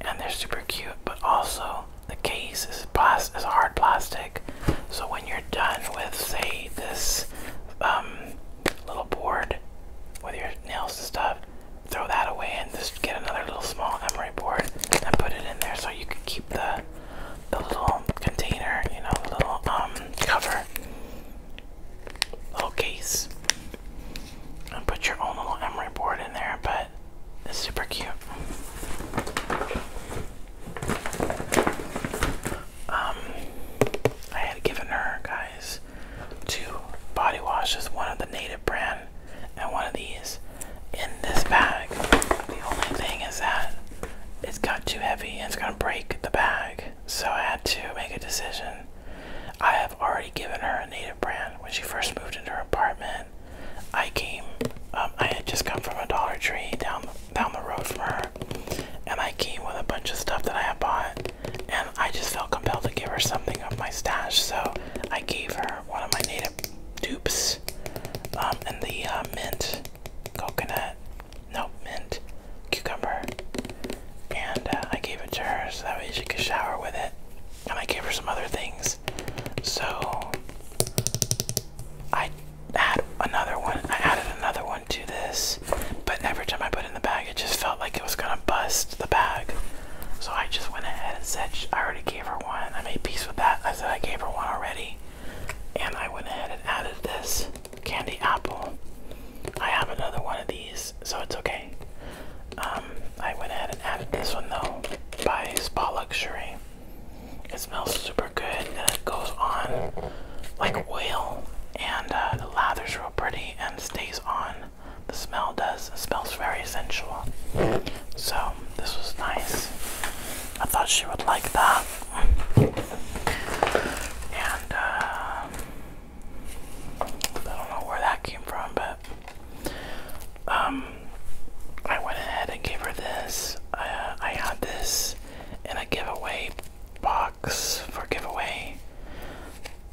And they're super cute, but also the case is plastic is hard plastic. So when you're done with say this um, little board with your nails and stuff, throw that away and just get another little small emery board and put it in there so you can keep the the little container, you know, the little um cover, little case, and put your own little emery board in there. But it's super cute. Um, I had given her guys two body washes, one of the native brand and one of these in this bag. The only thing is that it's got too heavy and it's gonna break the bag so I had to make a decision. I have already given her a native brand when she first moved into her apartment. I came, um, I had just come from a Dollar Tree down down the road from her, and I came with a bunch of stuff that I had bought, and I just felt compelled to give her something of my stash, so I gave her one of my native dupes, um, and the uh, mint coconut nope, mint, cucumber, and uh, I gave it to her so that way she could shower with it. And I gave her some other things. So I had another one. I added another one to this, but every time I put in the bag, it just felt like it was gonna bust the bag. So I just went ahead and said I already gave her one. I made peace with that. I said I gave her one already, and I went ahead and added this candy apple. I have another one of these, so it's okay. Um, I went ahead and added this one though by Spa Luxury. It smells super good and it goes on like oil and uh, the lathers real pretty and stays on. The smell does. It smells very sensual. So this was nice. I thought she would like that. And uh, I don't know where that came from, but um, I went ahead and gave her this. Uh, I had this in a giveaway box for giveaway.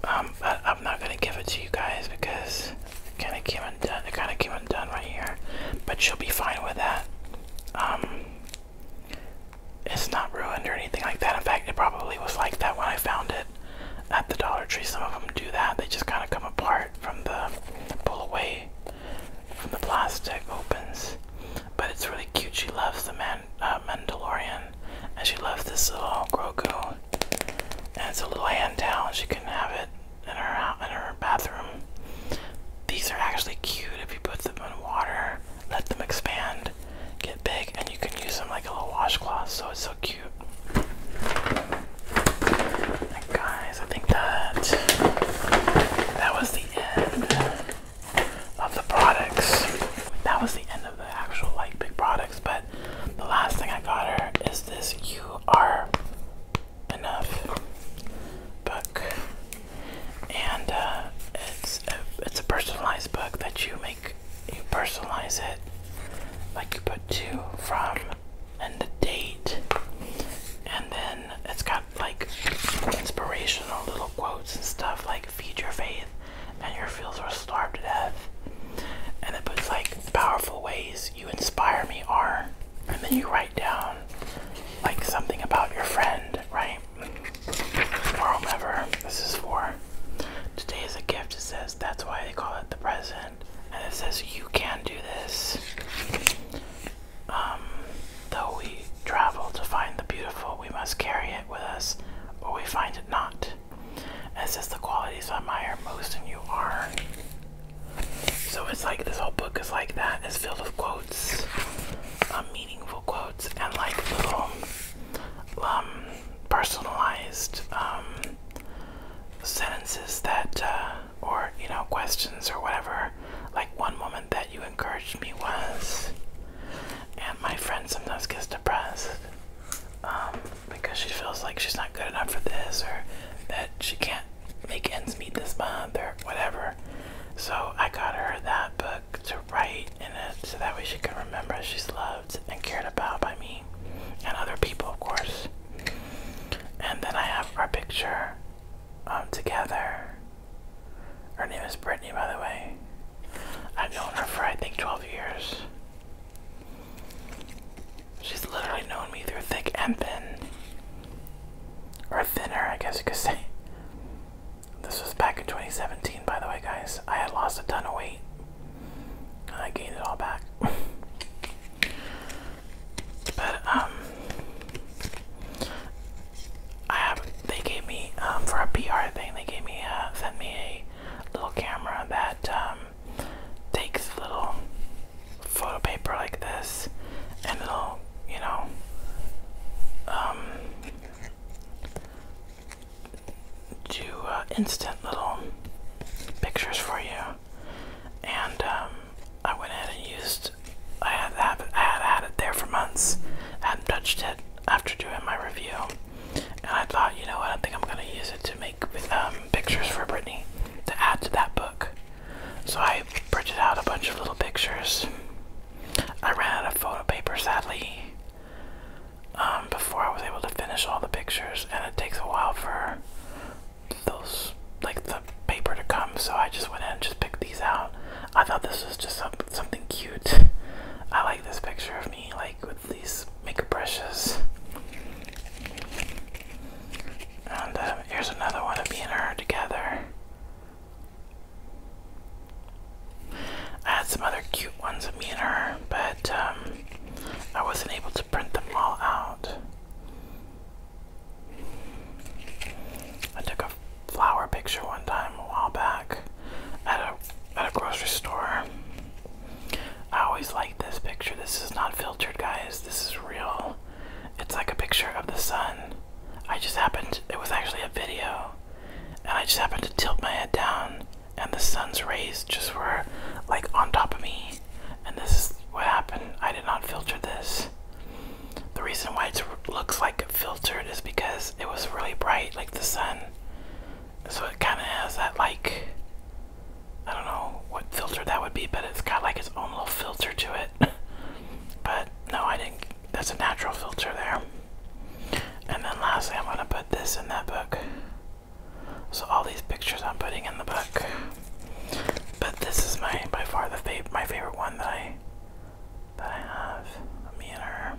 Um, I'm not gonna give it to you guys because it kind of came undone. It kind of came undone right here, but she'll be fine with that. Um, it's not ruined or anything like that. In fact, it probably was like that when I found it at the Dollar Tree. Some of them do that. They just kind of come apart from the pull away from the plastic opens. But it's really cute. She loves the Man uh, Mandalorian, and she loves this little Grogu. And it's a little hand down. She can have it in her in her bathroom. These are actually cute if you put them in water let them expand, get big, and you can use them like a little washcloth, so it's so cute. guys, I think that that was the end of the products. That was the end of the actual like big products, but the last thing I got her is this You Are Enough book and uh, it's a, it's a personalized book that you make you personalize it like you put two from and the date and then it's got like inspirational little quotes and stuff like feed your faith and your fields are starved to death and it puts like powerful ways you inspire me are and then you write down like something about your friend right for whomever this is for. Today is a gift. It says that's why they call it the present, and it says you can do this. Um, though we travel to find the beautiful, we must carry it with us, or we find it not. And it says the qualities I admire most in you are. So it's like this whole book is like that. It's filled with quotes, um, meaningful beautiful quotes and like little um, personalized um, sentences that, uh, or you know, questions or whatever. Like one woman that you encouraged me was, and my friend sometimes gets depressed um, because she feels like she's not good enough for this or that she can't make ends meet this month or whatever. So I got her that book to write in it so that way she can remember she's loved and cared about by me and other people, of course. And then I have our picture um, together. Her name is Brittany, by the way. I've known her for I think 12 years. She's literally known me through thick and thin. Or thinner, I guess you could say. This was back in 2017, by the way, guys. I had lost a ton of weight. And I gained it all back. but, um, I have, they gave me, um, for a PR thing, they gave me, uh, sent me a little camera that, um, takes little photo paper like this and it you know, um, do uh, instant little pictures for you. And um, I went ahead and used. I had, had, it there for months. I hadn't touched it after doing my review, and I thought, you know I don't think I'm gonna use it to make um, pictures for Brittany to add to that book. So I printed out a bunch of little pictures. I ran out of photo paper, sadly, um, before I was able to finish all the pictures, and it takes a while for those like the paper to come. So I just went in and just picked these out. I thought this was just something cute. I like this picture of me like with these makeup brushes. And um, here's another one of me and her together. I had some other cute ones of me and her, but um, I wasn't able to print them all out. I took a flower picture one time a while back at a at a grocery store. I always like this picture. This is not filtered, guys. This is real. It's like a picture of the sun. I just happened. It was actually a video and I just happened to tilt my head down, and the sun's rays just were like on top of me. And this is what happened. I did not filter this. The reason why it looks like filtered is because it was really bright, like the sun. So it kind of has that, like, I don't know what filter that would be, but it's got like its own little filter to it. but no, I didn't that's a natural filter there. And then lastly, I'm going to put this in that book. So all these pictures I'm putting in the book. But this is my by far the my favorite one that I that I have. Me and her.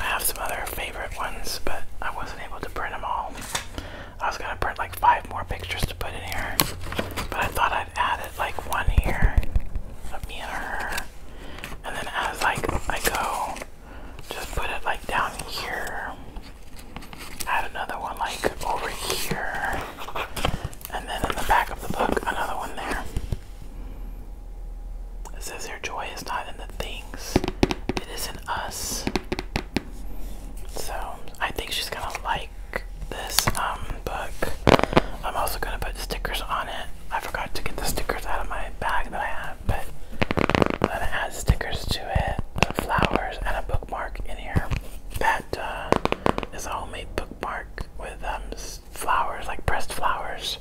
I have some other favorite ones, but I wasn't able to print them all. I was gonna print like five more pictures to put in here, but I thought I'd added like one here of me and her, and then as like I go, just put it like down here. Add another one like over here, and then in the back of the book, another one there. It says, Your joy is not in the things, it is in us. So, I think she's gonna like this um, book. I'm also gonna put stickers on it I forgot to get the stickers out of my bag that I have, but I'm gonna add stickers to it, flowers, and a bookmark in here. That uh, is a homemade bookmark with um, flowers, like pressed flowers.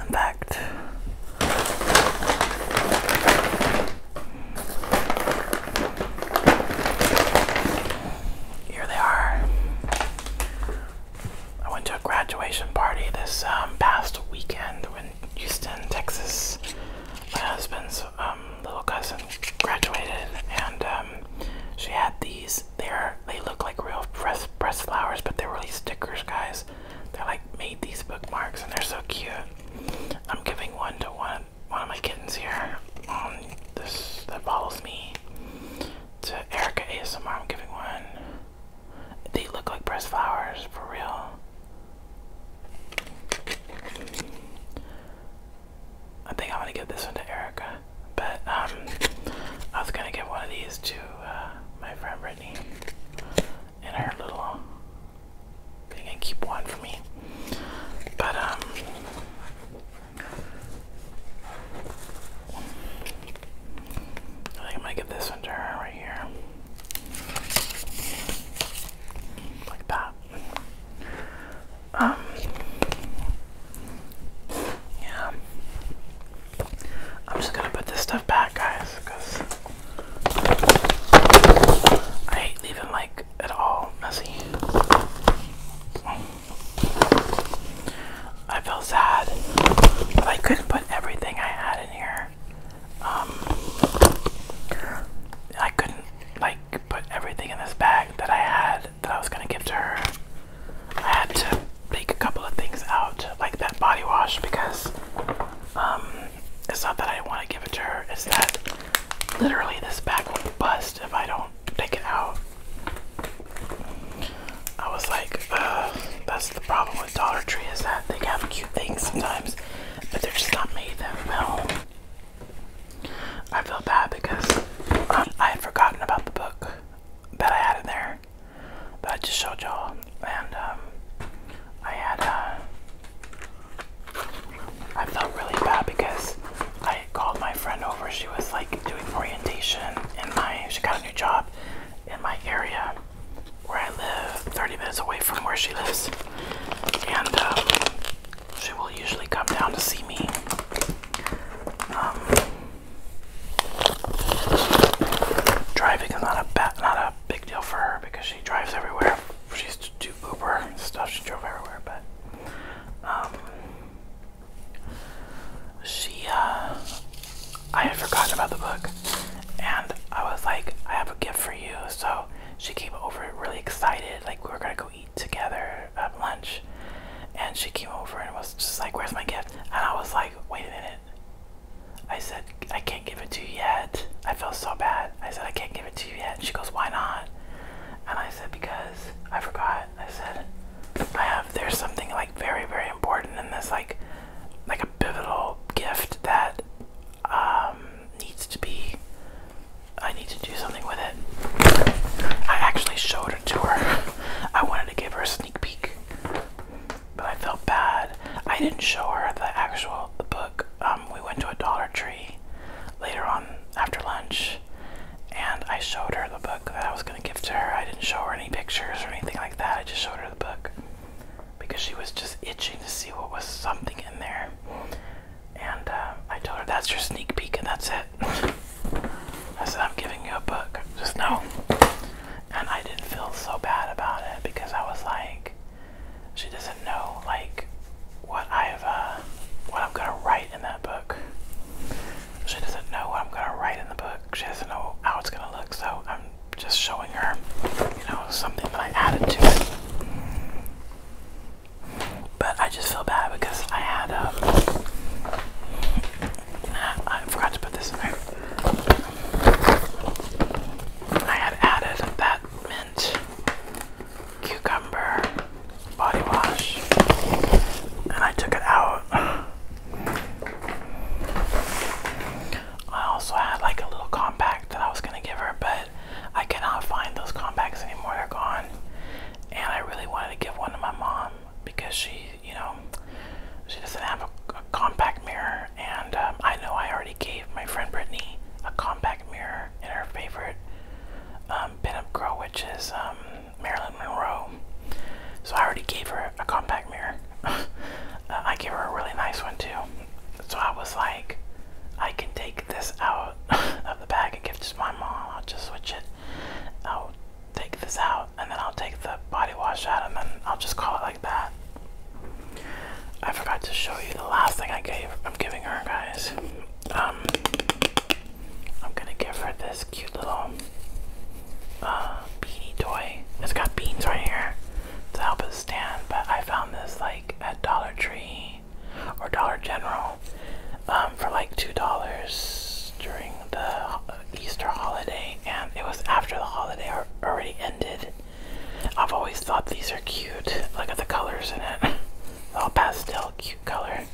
In fact, here they are. I went to a graduation party this um, past weekend in Houston, Texas. My husband's um, little cousin graduated, and um, she had these. They're they look like real fresh press flowers, but they're really stickers, guys. They're like made these bookmarks, and they're so cute. I'm giving one to one one of my kittens here. Um, this that follows me to Erica ASMR, I'm giving one. They look like breast flowers, for real. I think I'm gonna give this one to Erica, but um, I was gonna give one of these to uh, my friend Brittany and her little thing, and keep one for me. But um, I think I'm get this one to her right here. Like that. Um Yeah. I'm just gonna put this stuff back guys because I hate leaving like at all messy. I feel sad but I couldn't put everything I had in here. Um, I couldn't like put everything in this bag that I had that I was gonna give to her. I had to take a couple of things out, like that body wash, because um, it's not that I want to give it to her. It's that literally this bag will bust if I don't take it out. I was like, uh, that's the problem with Dollar Tree is that they have cute things sometimes, but they're just not made that well. I felt bad because um, I had forgotten about the book that I had in there that I just showed y'all, and um, I had, uh, I felt really bad because I called my friend over. She was like doing orientation in my, she got a new job in my area where I live, 30 minutes away from where she lives, and um, she will usually come down to see me. Um, driving is not a bad, not a big deal for her because she drives everywhere. She used to do Uber stuff. She drove everywhere, but um, she, uh, I had forgotten about the book, and I was like, I have a gift for you. So she came over really excited, like, we were gonna go eat together at lunch. And she came over and was just like, Where's my gift? And I was like, Wait a minute. I said, I can't give it to you yet. I feel so bad. I said, I can't give it to you yet. she goes, Why not? And I said, Because I forgot. I said, I have, there's something like very, very important in this, like, like a pivotal gift that um, needs to be, I need to do something with it. I actually showed it to her. I wanted to give her a sneak peek, but I felt bad. I didn't show her the actual, the book. Um, we went to a Dollar Tree later on after lunch, and I showed her the book that I was gonna her. I didn't show her any pictures or anything like that. I just showed her the book because she was just itching to see what was something in there. And uh, I told her that's your sneak peek and that's it. I said I'm giving you a book. Just know. And I didn't feel so bad about it because I was like, she doesn't know like what I've uh, what I'm gonna write in that book. She doesn't know what I'm gonna write in the book. She doesn't know how it's gonna look, so I'm just showing her, you know, something that I added to it. But I just feel bad because I had um I forgot to put this in there. I had added that mint cucumber body wash and I took it out I also had like a little compact that I was gonna give her, but I cannot find those compacts anymore. They're gone. And I really wanted to give one to my mom because she, you know, she doesn't have a, compact mirror. And um, I know I already gave my friend Brittany a compact mirror in her favorite um, pin-up girl, which is um, Marilyn Monroe. So I already gave her a compact mirror. Uh, I gave her a really nice one too. So I was like, I can take this out of the bag and give it to my mom. I'll just switch it. I'll take this out and then I'll take the body wash out and then I'll just call it like that. I forgot to show you the last thing I gave. I'm giving her, guys. Um, I'm gonna give her this cute little uh, toy. It's got beans right here to help it stand, but I found this like at Dollar Tree or Dollar General um, for like $2 during the Easter holiday, and it was after the holiday already ended. I've always thought these are cute. Look at the colors in it. All pastel, cute color.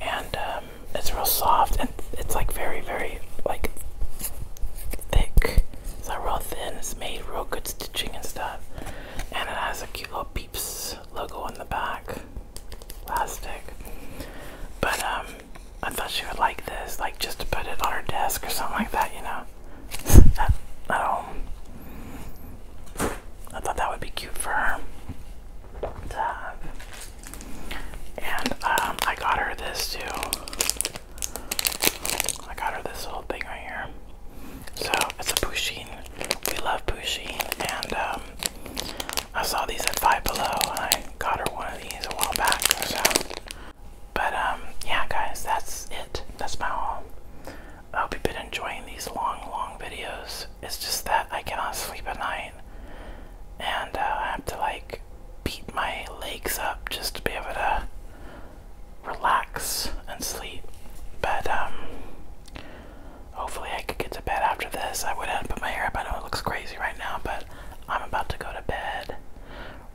And, um, it's real soft and it's like very, very like thick. It's not real thin. It's made real good stitching and stuff. And it has a cute little Peeps logo on the back, plastic. But um, I thought she would like this, like just to put it on her desk or something like that, you know, at, home. I thought that would be cute for her to and um, I got her this too. I got her this little thing right here. So it's a pushy. We love pushy. And um, I saw these at Five Below and I got her one of these a while back or so. But um, yeah, guys, that's it. That's my haul. I hope you've been enjoying these long, long videos. It's just that I cannot sleep at night and uh, I have to like beat my legs up just to be able to relax and sleep. But um, hopefully I could get to bed after this. I would have put my hair up. I know it looks crazy right now, but I'm about to go to bed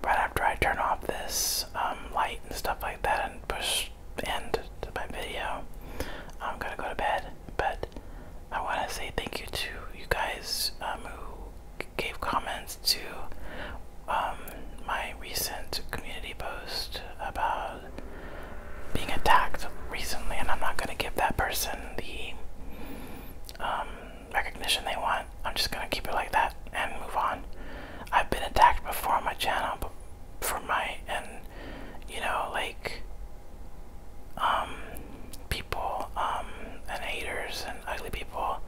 right after I turn off this um, light and stuff like that and push end to my video. I'm gonna go to bed, but I want to say thank you to you guys um, who gave comments to um, my recent community post about being attacked recently, and I'm not going to give that person the um, recognition they want. I'm just going to keep it like that and move on. I've been attacked before on my channel, but for my and you know, like, um, people um, and haters and ugly people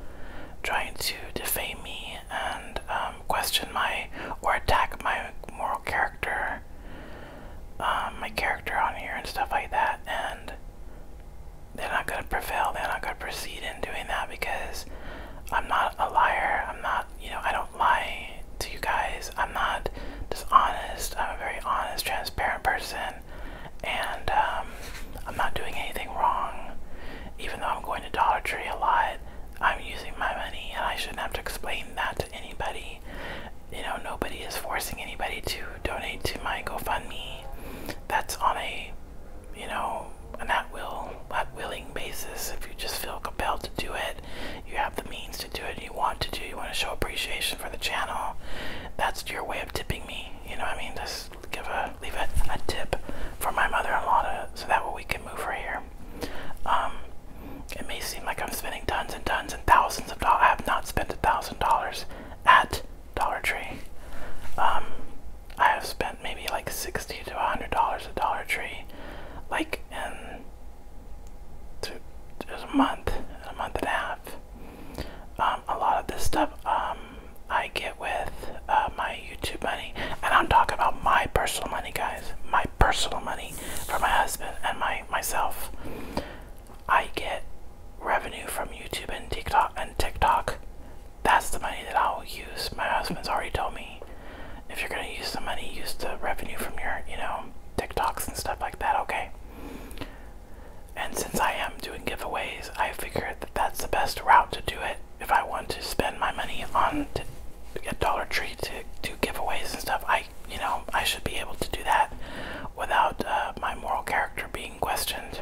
trying to defame me and um, question my or attack my moral character, um, my character on here and stuff like that. And they're not going to prevail, they're not going to proceed in doing that because I'm not a liar. I'm not, you know, I don't lie to you guys. I'm not dishonest. I'm a very honest, transparent person and um, I'm not doing anything wrong. Even though I'm going to Dollar Tree a lot, I'm using my money, and I shouldn't have to explain that to anybody. You know, nobody is forcing anybody to donate to my GoFundMe. That's on a, you know, an at will, at willing basis. If you just feel compelled to do it, you have the means to do it. You want to do. You want to show appreciation for the channel. That's your way of tipping me. You know I mean? Just give a leave a, a tip for my mother-in-law to so that way we can move her here. Um, it may seem like I'm spending tons and tons and thousands of dollars. I have not spent a thousand dollars at Dollar Tree. Um, I have spent maybe like sixty to a hundred dollars at Dollar Tree, like in two, a month, a month and a half. Um, a lot of this stuff um, I get with uh, my YouTube money, and I'm talking about my personal money, guys. My personal money for my husband and my myself. I get revenue from YouTube and TikTok and TikTok. That's the money that I'll use. My husband's already told me if you're gonna use the money, use the revenue from your, you know, TikToks and stuff like that. Okay. And since I am doing giveaways, I figured that that's the best route to do it if I want to spend my money on a Dollar Tree to do giveaways and stuff. I, you know, I should be able to do that without uh, my moral character being questioned.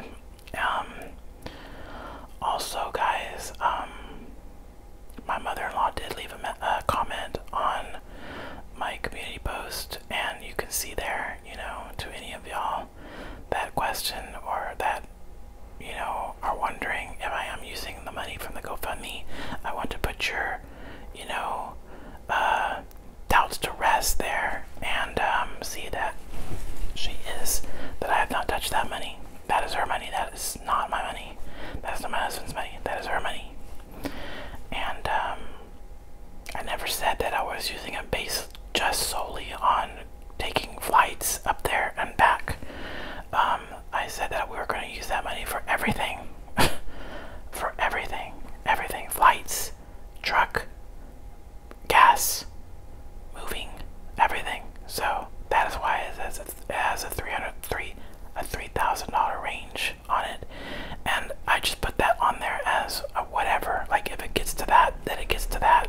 Um, also, guys, um, my mother-in-law did leave a comment on my community post, and you can see there, you know, to any of y'all that question or that, you know, are wondering if I am using the money from the GoFundMe, I want to put your, you know, uh, doubts to rest there and um, see that she is, that I have not touched that money. That is her money. That is not my money. That is not my husband's money. That is her money. And um, I never said that I was using a base just solely on taking flights up there and back. Um, I said that we were going to use that money for everything. for everything. Everything. Flights, truck, gas, moving, everything. So that is why it has a, it has a 303 a $3,000 range on it. And I just put that on there as uh, whatever. Like if it gets to that, then it gets to that.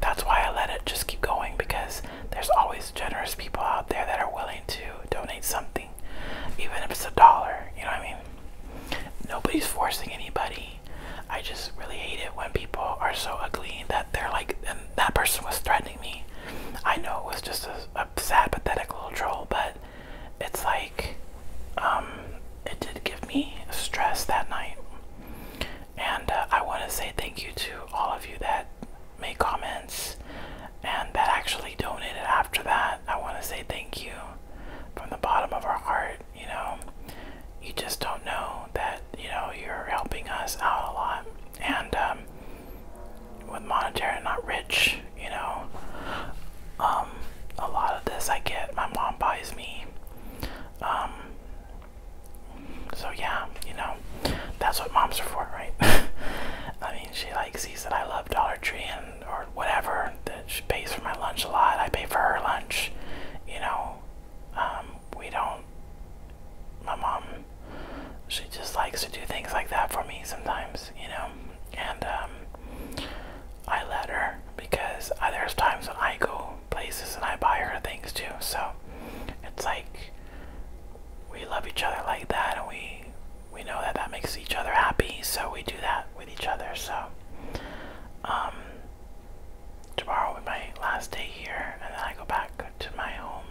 That's why I let it just keep going because there's always generous people out there that are willing to donate something, even if it's a dollar. You know what I mean? Nobody's forcing anybody. I just really hate it when people are so ugly that they're like, and that person was threatening me. I know it was just a, a sad, pathetic little troll, but it's like um, it did give me stress that night. And uh, I want to say thank you to all of you that made comments and that actually donated after that. I want to say thank you from the bottom of our heart. You know, you just don't know that, you know, you're helping us out a lot. And um, with monetary, not rich, you know, um, a lot of this I get. My mom buys me um, so yeah, you know, that's what moms are for, right? I mean, she like sees that I love Dollar Tree and or whatever. That she pays for my lunch a lot. I pay for her lunch. You know, um, we don't. My mom, she just likes to do things like that for me sometimes. You know, and um, I let her because there's times when I go places and I buy her things too. So it's like we love each other like that, and we we know that that makes each other happy. So we do that with each other. So um, tomorrow will be my last day here, and then I go back to my home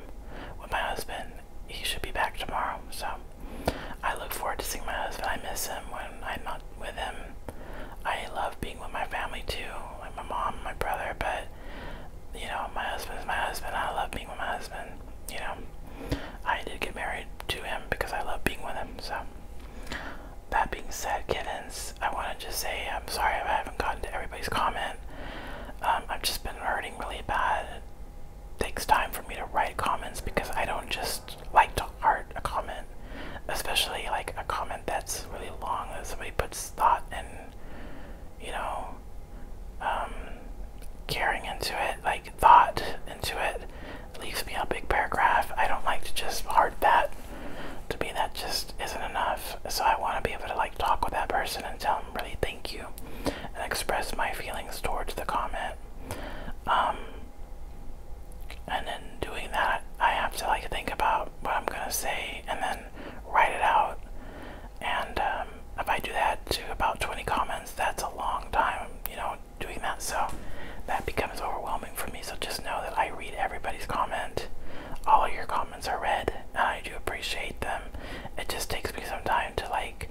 with my husband. He should be back tomorrow. So I look forward to seeing my husband. I miss him when I'm not with him. I love being with my family too, like my mom, my brother, but you know, my husband's my husband. I love being with my husband. You know, I did get married to him because I love being with him. So, that being said, kittens, I want to just say I'm sorry I haven't gotten to everybody's comment. Um, I've just been hurting really bad. It takes time for me to write comments because I don't just like to heart a comment, especially like a comment that's really long that somebody puts thought and you know um, caring into it, like thought into it. Leaves me a big paragraph. I don't like to just hard that. To me, that just isn't enough. So I want to be able to like talk with that person and tell them really thank you, and express my feelings towards the comment. Um, and in doing that, I have to like think about what I'm gonna say and then write it out. And um, if I do that to about 20 comments, that's a long time, you know, doing that. So that becomes overwhelming for me. So just know that I read everybody's comment. All your comments are read, and I do appreciate them. It just takes me some time to like,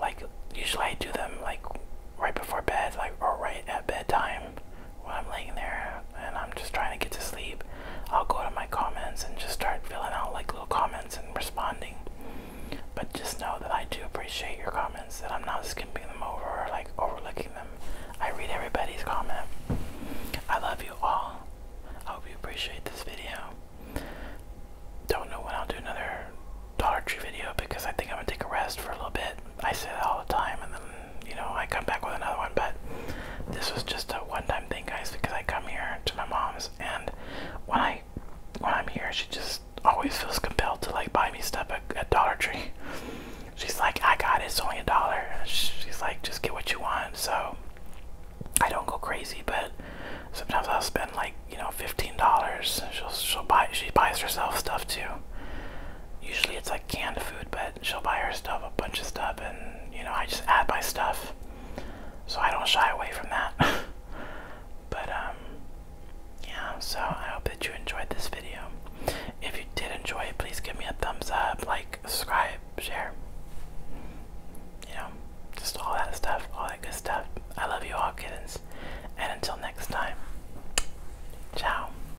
like usually I do them like right before bed, like or right at bedtime when I'm laying there and I'm just trying to get to sleep, I'll go to my comments and just start filling out like little comments and responding. But just know that I do appreciate your comments, that I'm not skipping them over or like overlooking them. I read everybody's comment. I love you all. I hope you appreciate this video. Don't know when I'll do another Dollar Tree video because I think I'm gonna take a rest for a little bit. I say that all the time you know, I come back with another one, but this was just a one-time thing, guys, because I come here to my mom's, and when I when I'm here, she just always feels compelled to like buy me stuff at, Dollar Tree. She's like, I got it, it's only a dollar. She's like, just get what you want. So I don't go crazy, but sometimes I'll spend like you know fifteen dollars. She'll she'll buy she buys herself stuff too. Usually it's like canned food, but she'll buy her stuff a bunch of stuff and you know I just add my stuff so I don't shy away from that but um, yeah so I hope that you enjoyed this video if you did enjoy it please give me a thumbs up like subscribe share you know just all that stuff all that good stuff I love you all kittens and until next time ciao